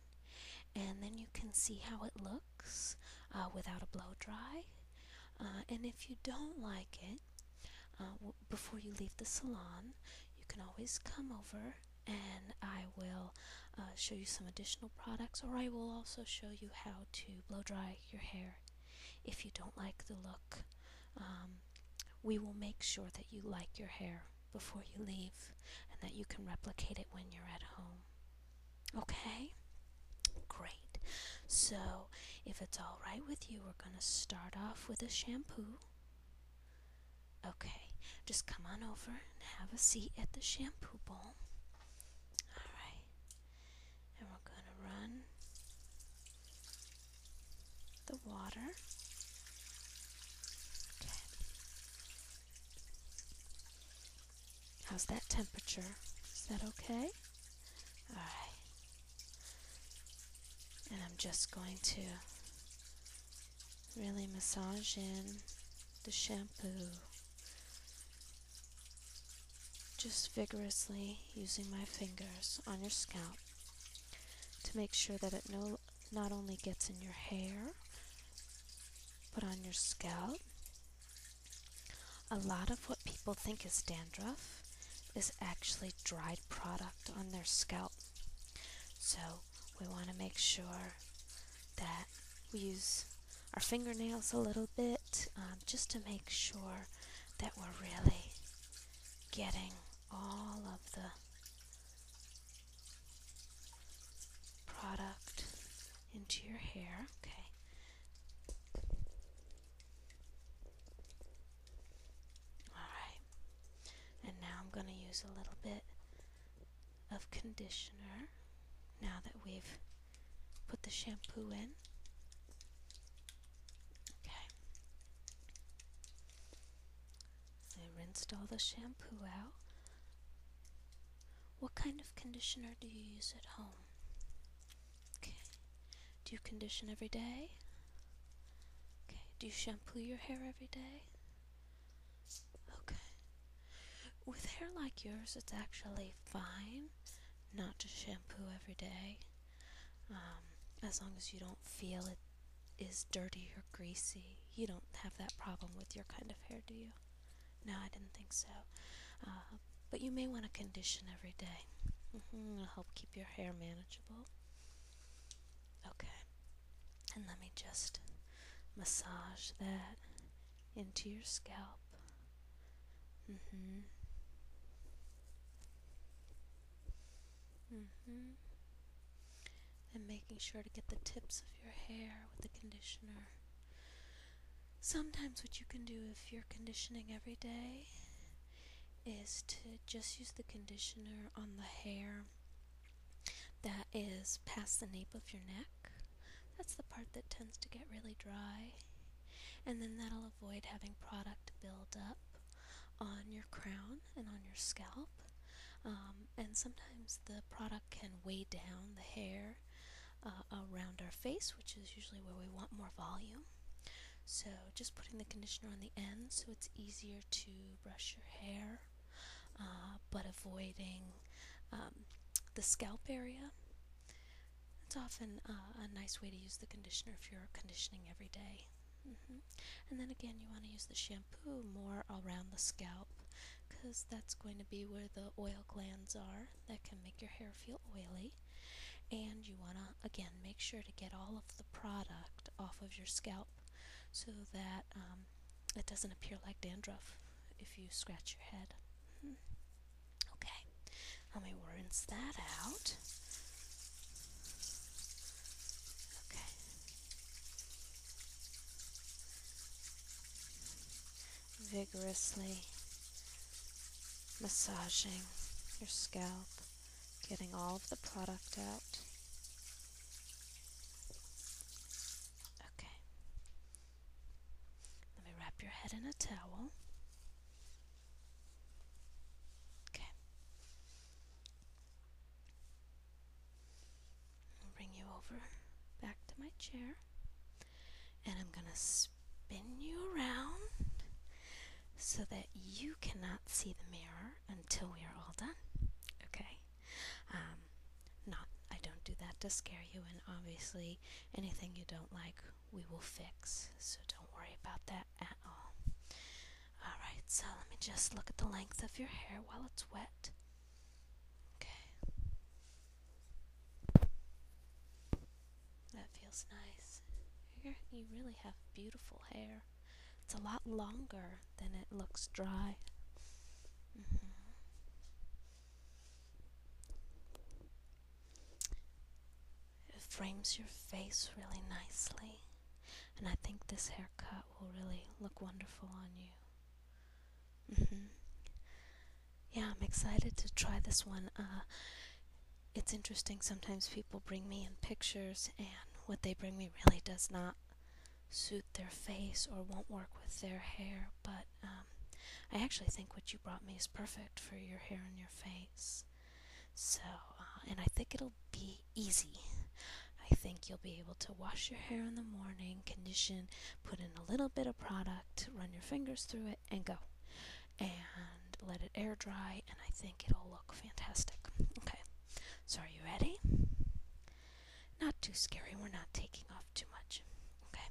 and then you can see how it looks uh, without a blow dry. Uh, and if you don't like it, uh, before you leave the salon, you can always come over and I will uh, show you some additional products, or I will also show you how to blow dry your hair if you don't like the look. Um, we will make sure that you like your hair before you leave and that you can replicate it when you're at home. Okay? Great. So, if it's alright with you, we're going to start off with a shampoo. Okay, just come on over and have a seat at the shampoo bowl. Alright, and we're going to run the water. How's that temperature? Is that okay? Alright. And I'm just going to really massage in the shampoo just vigorously using my fingers on your scalp to make sure that it no, not only gets in your hair, but on your scalp. A lot of what people think is dandruff is actually dried product on their scalp. So we want to make sure that we use our fingernails a little bit um, just to make sure that we're really getting all of the product into your hair. Okay. Alright. And now I'm going to use a little bit of conditioner now that we've put the shampoo in. Okay. I rinsed all the shampoo out. What kind of conditioner do you use at home? Okay. Do you condition every day? Okay. Do you shampoo your hair every day? Okay. With hair like yours, it's actually fine not to shampoo every day. Um, as long as you don't feel it is dirty or greasy, you don't have that problem with your kind of hair, do you? No, I didn't think so. Uh, but you may want to condition every day. Mm -hmm, it'll help keep your hair manageable. Okay. And let me just massage that into your scalp. hmm hmm And making sure to get the tips of your hair with the conditioner. Sometimes, what you can do if you're conditioning every day is to just use the conditioner on the hair that is past the nape of your neck that's the part that tends to get really dry. And then that'll avoid having product build up on your crown and on your scalp. Um, and sometimes the product can weigh down the hair uh, around our face, which is usually where we want more volume. So just putting the conditioner on the end so it's easier to brush your hair, uh, but avoiding um, the scalp area. It's often uh, a nice way to use the conditioner if you're conditioning every day. Mm-hmm. And then again, you want to use the shampoo more around the scalp because that's going to be where the oil glands are that can make your hair feel oily. And you want to, again, make sure to get all of the product off of your scalp so that um, it doesn't appear like dandruff if you scratch your head. Okay, let me rinse that out. Okay. Vigorously massaging your scalp, getting all of the product out. Okay. Let me wrap your head in a towel. Okay. I'll bring you over back to my chair. And I'm going to spin you around so that you cannot see the mirror until we are all done. Okay? Um, um, not I don't do that to scare you, and obviously anything you don't like we will fix, so don't worry about that at all. Alright, so let me just look at the length of your hair while it's wet. Okay. That feels nice. you you really have beautiful hair. It's a lot longer than it looks dry. Mm-hmm. It frames your face really nicely, and I think this haircut will really look wonderful on you. Mm-hmm. Yeah, I'm excited to try this one. Uh, it's interesting, sometimes people bring me in pictures, and what they bring me really does not suit their face or won't work with their hair, but um, I actually think what you brought me is perfect for your hair and your face. So, uh, and I think it'll be easy. I think you'll be able to wash your hair in the morning, condition, put in a little bit of product, run your fingers through it, and go. And let it air dry, and I think it'll look fantastic. Okay, so are you ready? Not too scary, we're not taking off too much. Okay,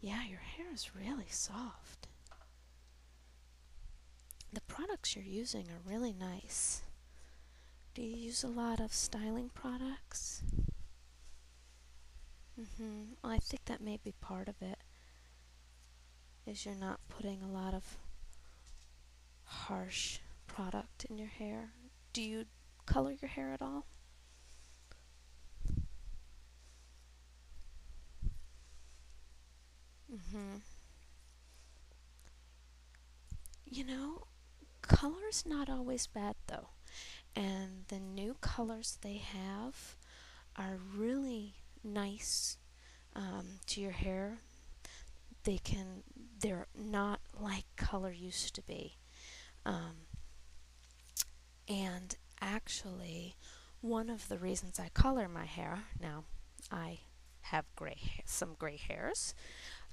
Yeah, your hair is really soft. The products you're using are really nice. Do you use a lot of styling products? Mm-hmm. I think that may be part of it. Is you're not putting a lot of harsh product in your hair. Do you color your hair at all? Mm-hmm. You know, color is not always bad though. And the new colors they have are really nice um, to your hair. They can, they're not like color used to be. Um, and actually, one of the reasons I color my hair, now I have gray some gray hairs,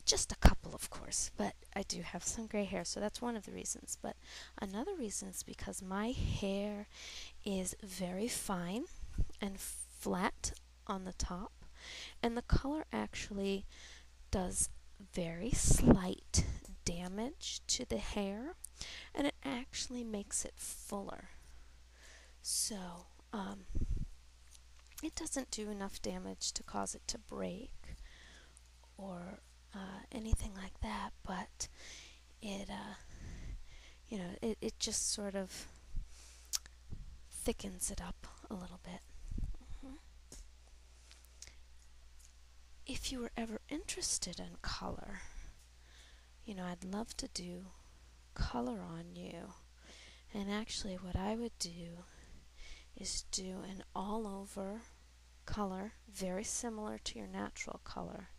just a couple of course, but I do have some gray hair, so that's one of the reasons. But another reason is because my hair is very fine and flat on the top, and the color actually does very slight damage to the hair and it actually makes it fuller. So, um, it doesn't do enough damage to cause it to break or uh, anything like that, but it, uh, you know, it, it just sort of thickens it up a little bit. Mm-hmm. If you were ever interested in color, you know, I'd love to do color on you. And actually, what I would do is do an all over color, very similar to your natural color.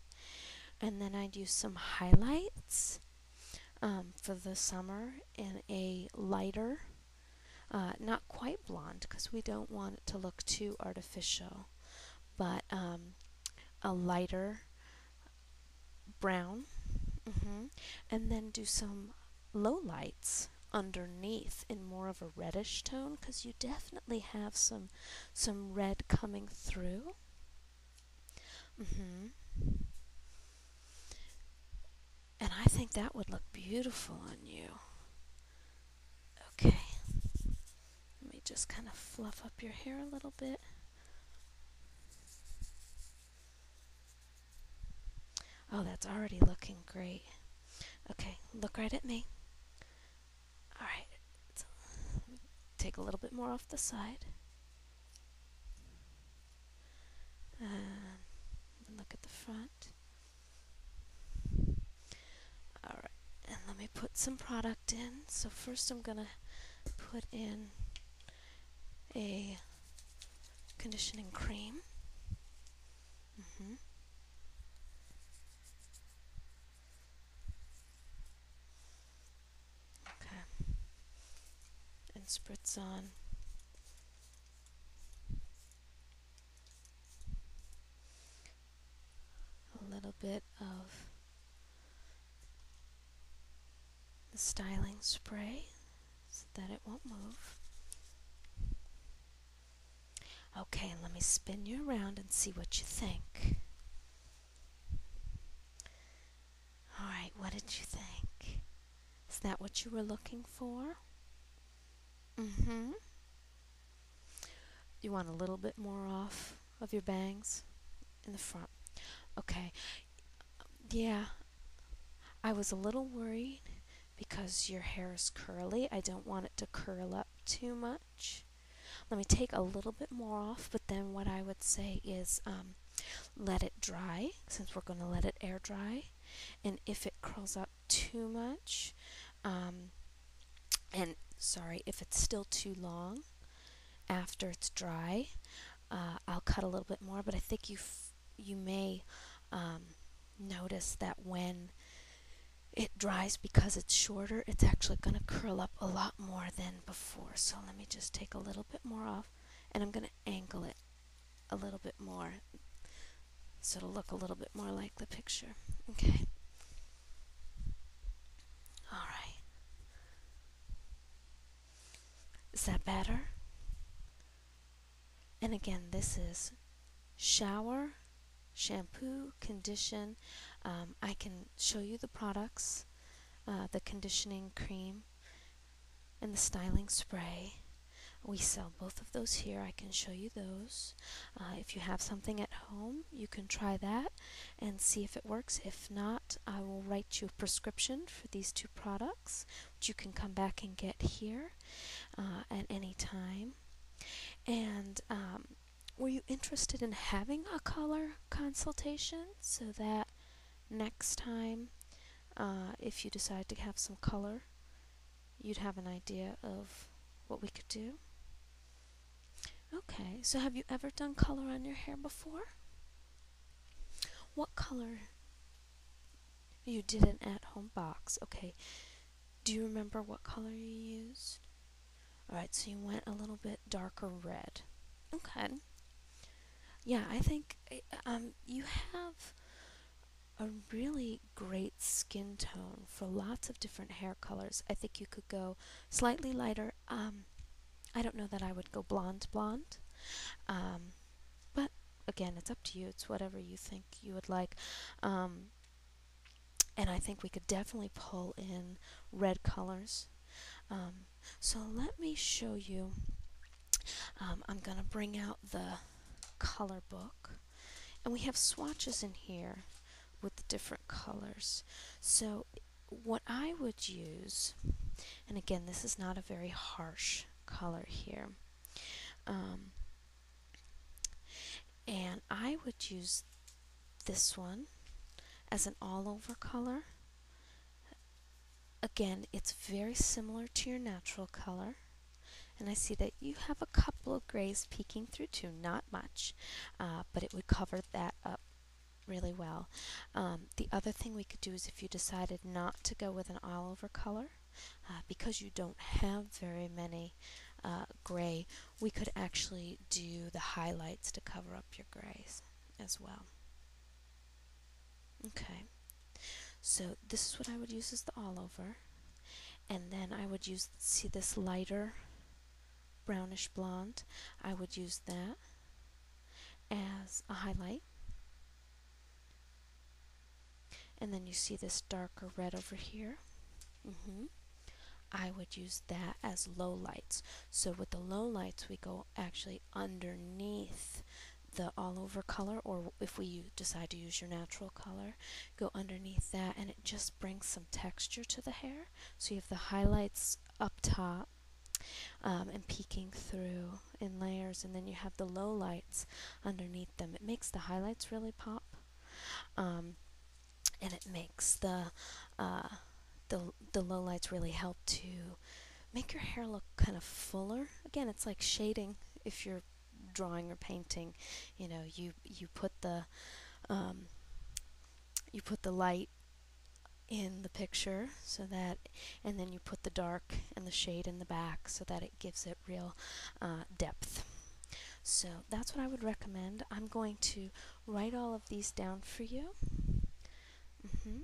And then I'd do some highlights um, for the summer in a lighter, uh, not quite blonde, because we don't want it to look too artificial, but um, a lighter brown mm-hmm. and then do some low lights underneath in more of a reddish tone because you definitely have some some red coming through mm-hmm. and I think that would look beautiful on you Okay. Let me just kind of fluff up your hair a little bit. Oh, that's already looking great. Okay, look right at me. Alright, take a little bit more off the side. and um, look at the front. Alright, and let me put some product in. So first I'm going to put in a conditioning cream. Mm-hmm. Okay. And spritz on a little bit of the styling spray so that it won't move. Okay, let me spin you around and see what you think. Alright, what did you think? Is that what you were looking for? hmm you want a little bit more off of your bangs in the front. Okay. Yeah. I was a little worried because your hair is curly. I don't want it to curl up too much. Let me take a little bit more off, but then what I would say is um, let it dry, since we're going to let it air dry. And if it curls up too much, um, and sorry if it's still too long after it's dry uh, I'll cut a little bit more but I think you you may um, notice that when it dries because it's shorter it's actually going to curl up a lot more than before so let me just take a little bit more off and I'm going to angle it a little bit more so it'll look a little bit more like the picture okay all right. Is that better? And again, this is shower, shampoo, condition. Um, I can show you the products, uh, the conditioning cream, and the styling spray. We sell both of those here. I can show you those. Uh, if you have something at home, you can try that and see if it works. If not, I will write you a prescription for these two products, which you can come back and get here uh, at any time. And um, were you interested in having a color consultation so that next time, uh, if you decide to have some color, you'd have an idea of what we could do? Okay, so have you ever done color on your hair before? What color? You did an at home box. Okay. Do you remember what color you used? Alright, so you went a little bit darker red. Okay. Yeah, I think um, you have a really great skin tone for lots of different hair colors. I think you could go slightly lighter um, I don't know that I would go blonde blonde. Um, but again, it's up to you. It's whatever you think you would like. Um, and I think we could definitely pull in red colors. Um, so let me show you. Um, I'm going to bring out the color book. And we have swatches in here with the different colors. So what I would use, and again, this is not a very harsh color here. Um, and I would use this one as an all-over color. Again, it's very similar to your natural color. And I see that you have a couple of grays peeking through too, not much, uh, but it would cover that up really well. Um, the other thing we could do is if you decided not to go with an all-over color, uh, because you don't have very many uh, gray, we could actually do the highlights to cover up your grays as well. Okay, so this is what I would use as the all-over, and then I would use, see this lighter brownish blonde I would use that as a highlight and then you see this darker red over here mm -hmm. I would use that as low lights so with the low lights we go actually underneath the all over color or if we decide to use your natural color go underneath that and it just brings some texture to the hair so you have the highlights up top um, and peeking through in layers and then you have the low lights underneath them it makes the highlights really pop um, and it makes the uh, the the low lights really help to make your hair look kind of fuller again it's like shading if you're drawing or painting you know you you put the um, you put the light in the picture so that and then you put the dark and the shade in the back so that it gives it real uh, depth so that's what I would recommend I'm going to write all of these down for you mm-hmm.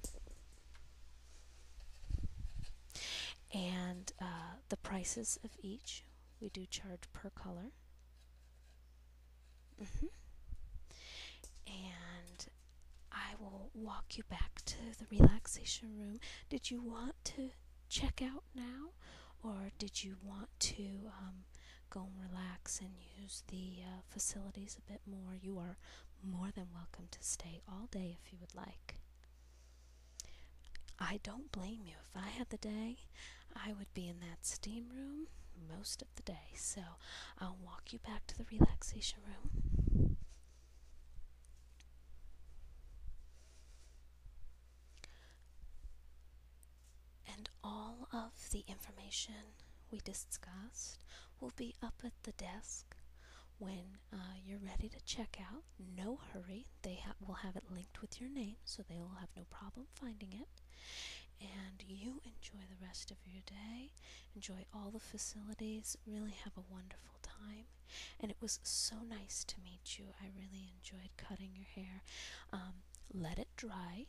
and uh, the prices of each we do charge per color Mm -hmm. And I will walk you back to the relaxation room. Did you want to check out now, or did you want to um, go and relax and use the uh, facilities a bit more? You are more than welcome to stay all day if you would like. I don't blame you. If I had the day, I would be in that steam room most of the day. So I'll walk you back to the relaxation room. And all of the information we discussed will be up at the desk when uh, you're ready to check out. No hurry. They will have it linked with your name, so they will have no problem finding it. And you enjoy the rest of your day, enjoy all the facilities, really have a wonderful time. And it was so nice to meet you. I really enjoyed cutting your hair. Um, let it dry.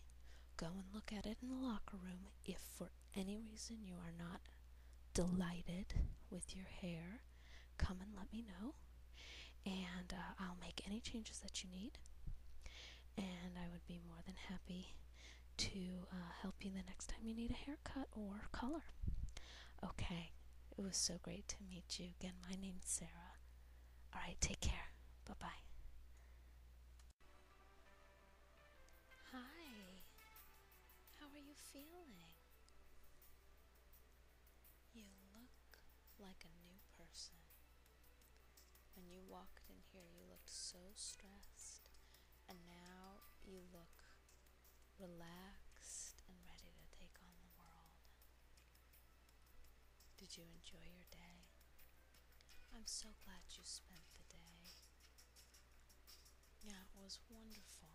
Go and look at it in the locker room. If for any reason you are not delighted with your hair, come and let me know. And uh, I'll make any changes that you need and I would be more than happy to uh, help you the next time you need a haircut or color. Okay, it was so great to meet you again. My name's Sarah. All right, take care. Bye bye. Hi, how are you feeling? You look like a new person. When you walked in here, you looked so stressed, and now you look relaxed and ready to take on the world. Did you enjoy your day? I'm so glad you spent the day. Yeah, it was wonderful.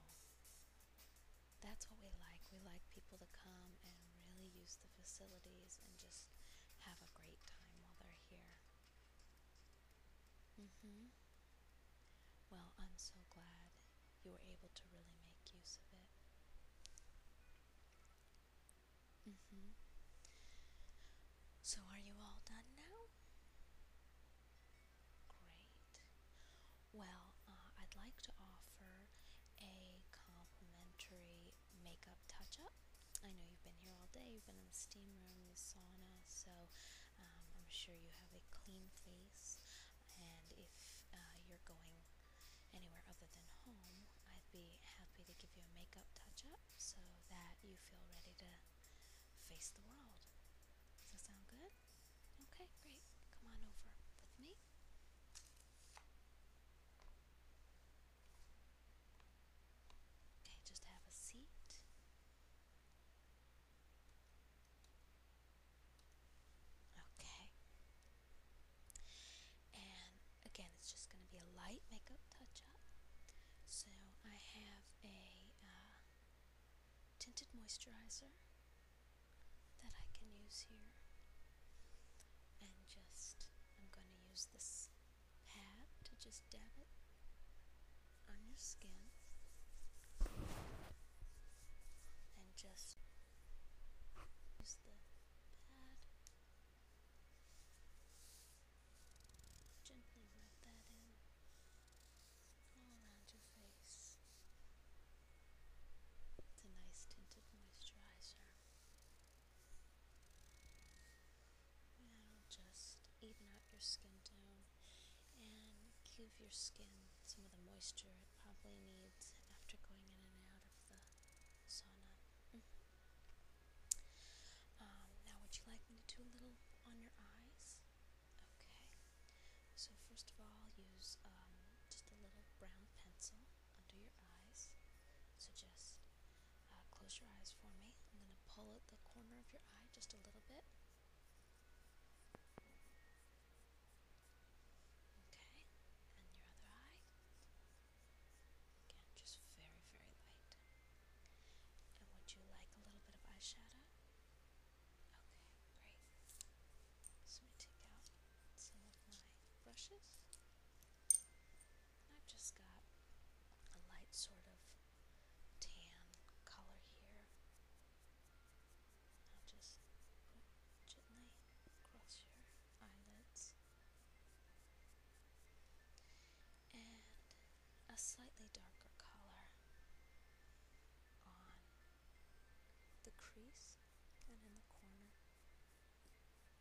That's what we like. We like people to come and really use the facilities and just have a great time while they're here. Mm-hmm. Well, I'm so glad you were able to really make use of it. Mm-hmm. So are you all done now? Great. Well, uh, I'd like to offer a complimentary makeup touch up. I know you've been here all day, you've been in the steam room, the sauna, so um, I'm sure you have a clean face. And if uh, you're going anywhere other than home, I'd be happy to give you a makeup touch up so that you feel ready to face the world. Does that sound good? Okay, great. Come on over with me. Okay, just have a seat. Okay. And again, it's just going to be a light makeup touch up. So I have a uh, tinted moisturizer that I can use here. And just, I'm going to use this pad to just dab it on your skin and just use the pad gently rub that in all around your face it's a nice tinted moisturizer That'll just even out your skin tone and give your skin some of the moisture it probably needs after going in and out of the sauna. Mm -hmm. um, now, would you like me to do a little on your eyes? Okay. So, first of all, use um, just a little brown pencil under your eyes. So, just uh, close your eyes for me. I'm going to pull at the corner of your eye just a little bit. Okay, and your other eye. Again, just very, very light. And would you like a little bit of eyeshadow? Okay, great. So let me take out some of my brushes. I've just got a light sort of tan color here. I'll just put gently across your eyelids. And a slightly darker color on the crease and in the corner,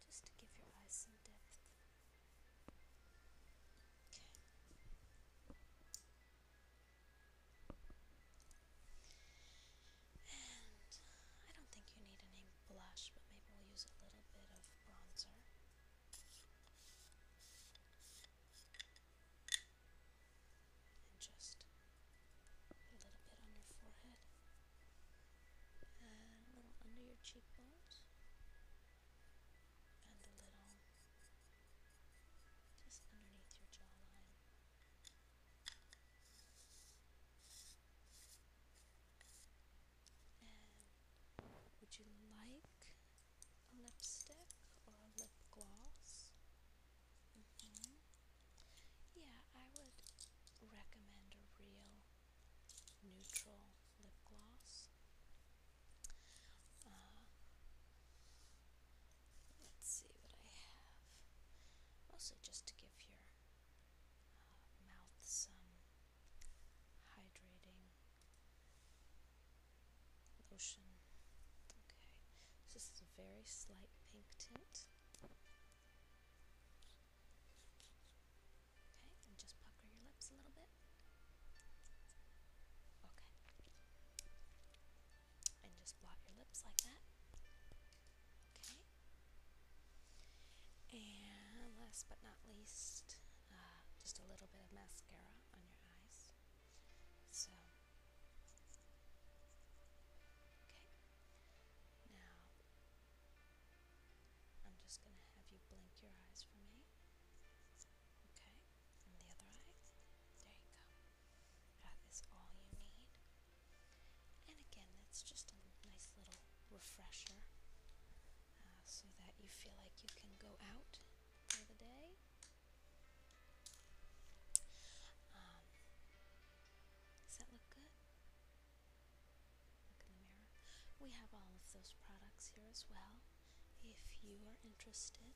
just to give your eyes some depth. And uh, I don't think you need any blush, but maybe we'll use a little bit of bronzer. And just a little bit on your forehead. And a little under your cheekbones and a little just underneath your jawline. And would you like a lipstick or a lip gloss? Mm-hmm. Yeah, I would recommend a real neutral lip gloss. Uh, let's see what I have. Mostly just to give your uh, mouth some hydrating lotion. Okay, so this is a very slight pink tint. Okay, and just pucker your lips a little bit. Okay. And just blot your lips like that. Okay. And last but not least, uh, just a little bit of mascara on your eyes. So, okay. Now, I'm just going to have you blink your eyes for me. Okay, the other eye. There you go. That is all you need. And again, that's just a nice little refresher uh, so that you feel like you can go out for the day. Um, does that look good? look in the mirror. We have all of those products here as well, if you are interested.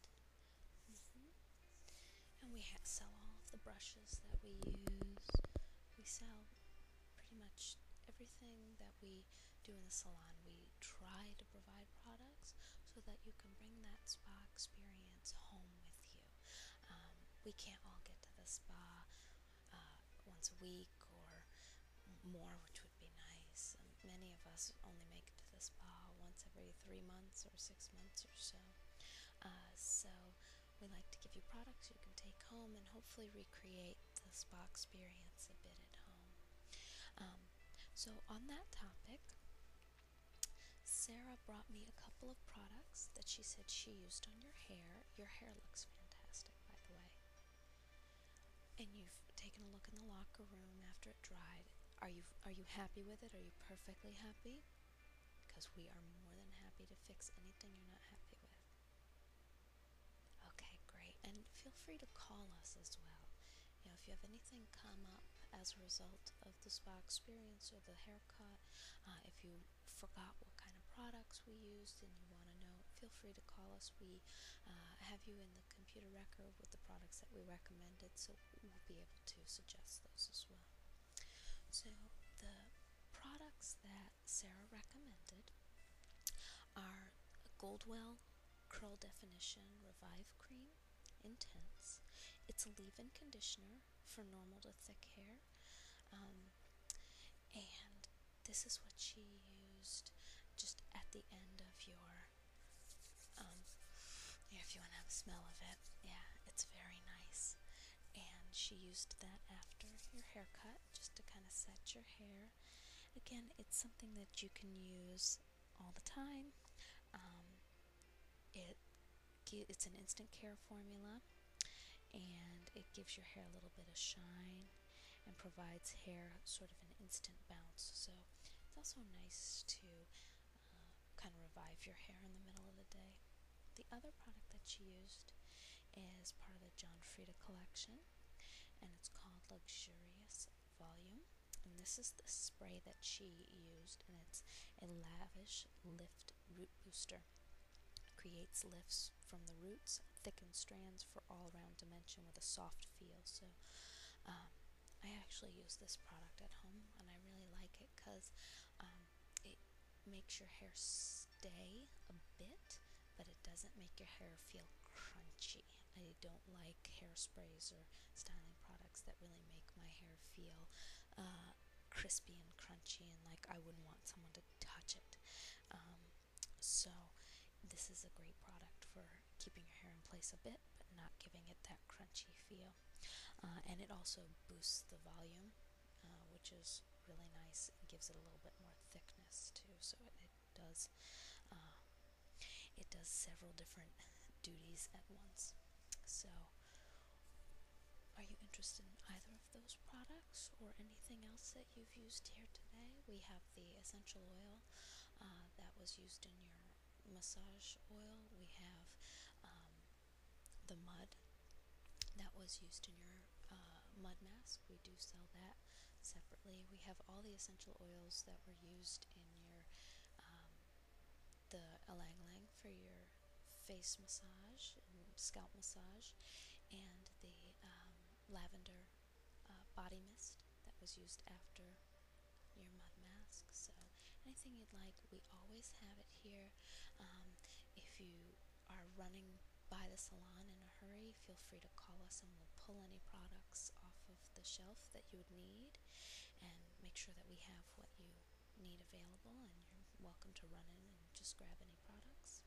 Mm -hmm. And we sell all of the brushes that we use. We sell pretty much everything that we do in the salon. We try to provide products so that you can bring that spa experience home with you. Um, we can't all get to the spa uh, once a week or more, which would be nice. Um, many of us only make it to the spa once every three months or six months or so. Uh, so we like to give you products you can take home and hopefully recreate the spa experience a bit at home. Um, so on that topic, Sarah brought me a couple of products that she said she used on your hair. Your hair looks fantastic, by the way and you've taken a look in the locker room after it dried, are you are you happy with it? Are you perfectly happy? Because we are more than happy to fix anything you're not happy with. Okay, great. And feel free to call us as well. You know, if you have anything come up as a result of the spa experience or the haircut, uh, if you forgot what kind of products we used and you want to know, feel free to call us. We uh, have you in the computer record with the products that we recommended, so we'll be able to suggest those as well. So, the products that Sarah recommended are Goldwell Curl Definition Revive Cream Intense. It's a leave in conditioner for normal to thick hair. Um, and this is what she used just at the end of your um if you want to have a smell of it yeah it's very nice and she used that after your haircut just to kind of set your hair again it's something that you can use all the time um, it it's an instant care formula and it gives your hair a little bit of shine and provides hair sort of an instant bounce. So it's also nice to uh, kind of revive your hair in the middle of the day. The other product that she used is part of the John Frieda collection, and it's called Luxurious Volume. And this is the spray that she used, and it's a lavish lift root booster. creates lifts from the roots thickened strands for all around dimension with a soft feel. So um, I actually use this product at home and I really like it because um, it makes your hair stay a bit, but it doesn't make your hair feel crunchy. I don't like hairsprays or styling products that really make my hair feel uh, crispy and crunchy and like I wouldn't want someone to touch it. Um, so this is a great product for keeping your hair in place a bit, but not giving it that crunchy feel. Uh, and it also boosts the volume, uh, which is really nice and gives it a little bit more thickness too. So it, it does uh, it does several different duties at once. So are you interested in either of those products or anything else that you've used here today? We have the essential oil oil uh, that was used in your massage oil. We have um, the mud that was used in your uh, mud mask. We do sell that separately. We have all the essential oils that were used in your um, the Alang Lang for your face massage, scalp massage, and the um, lavender uh, body mist that was used after your mud mask. So anything you'd like, we always have it here. Um, if you are running by the salon in a hurry, feel free to call us and we'll pull any products off of the shelf that you would need and make sure that we have what you need available and you're welcome to run in and just grab any products.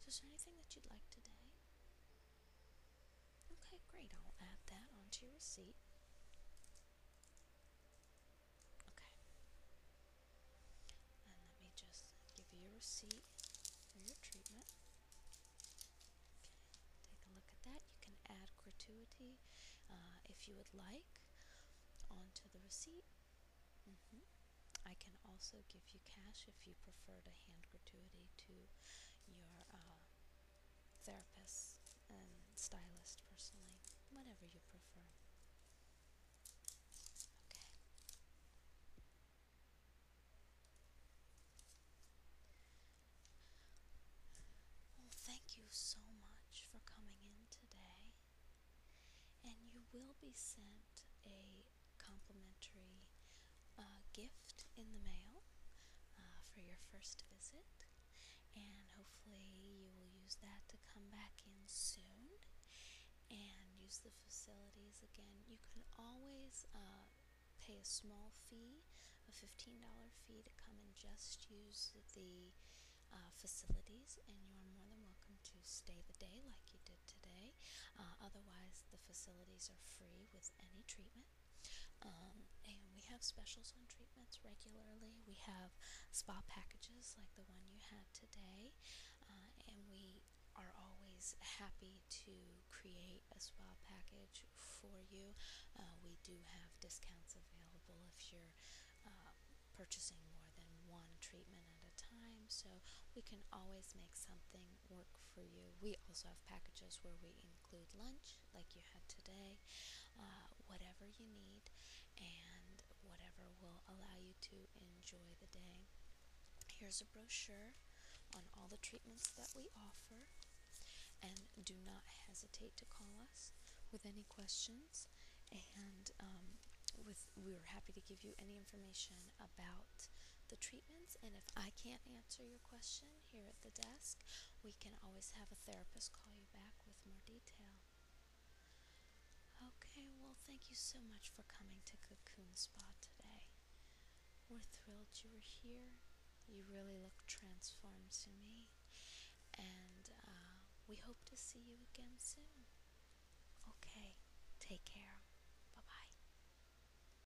So is there anything that you'd like today? Okay, great. I'll add that onto your receipt. Okay. And let me just give you a receipt for your treatment. Okay, take a look at that. You can add gratuity uh, if you would like onto the receipt. Mm-hmm. I can also give cash if you prefer to hand gratuity to your uh, therapist and stylist personally, whatever you prefer. Okay. Well, thank you so much for coming in today. And you will be sent a complimentary uh, gift in the mail uh, for your first visit. And hopefully, you will use that to come back in soon and use the facilities again. You can always uh, pay a small fee, a $15 fee, to come and just use the uh, facilities, and you are more than welcome to stay the day like you did today. Uh, otherwise, the facilities are free with any treatment. Um, and we have specials on treatments regularly. We have spa packages like the one you had today, uh, and we are always happy to create a spa package for you. Uh, we do have discounts available if you're uh, purchasing more than one treatment at a time, so we can always make something can work for you. We also have packages where we include lunch, like you had today, uh, whatever you need, and whatever will allow you to enjoy the day. Here's a brochure on all the treatments that we offer, and do not hesitate to call us with any questions. And um, with we're happy to give you any information about the treatments. And if I can't answer your question, here at the desk. We can always have a therapist call you back with more detail. Okay, well, thank you so much for coming to Cocoon Spa today. We're thrilled you were here. You really look transformed to me. And uh, we hope to see you again soon. Okay, take care. Bye bye.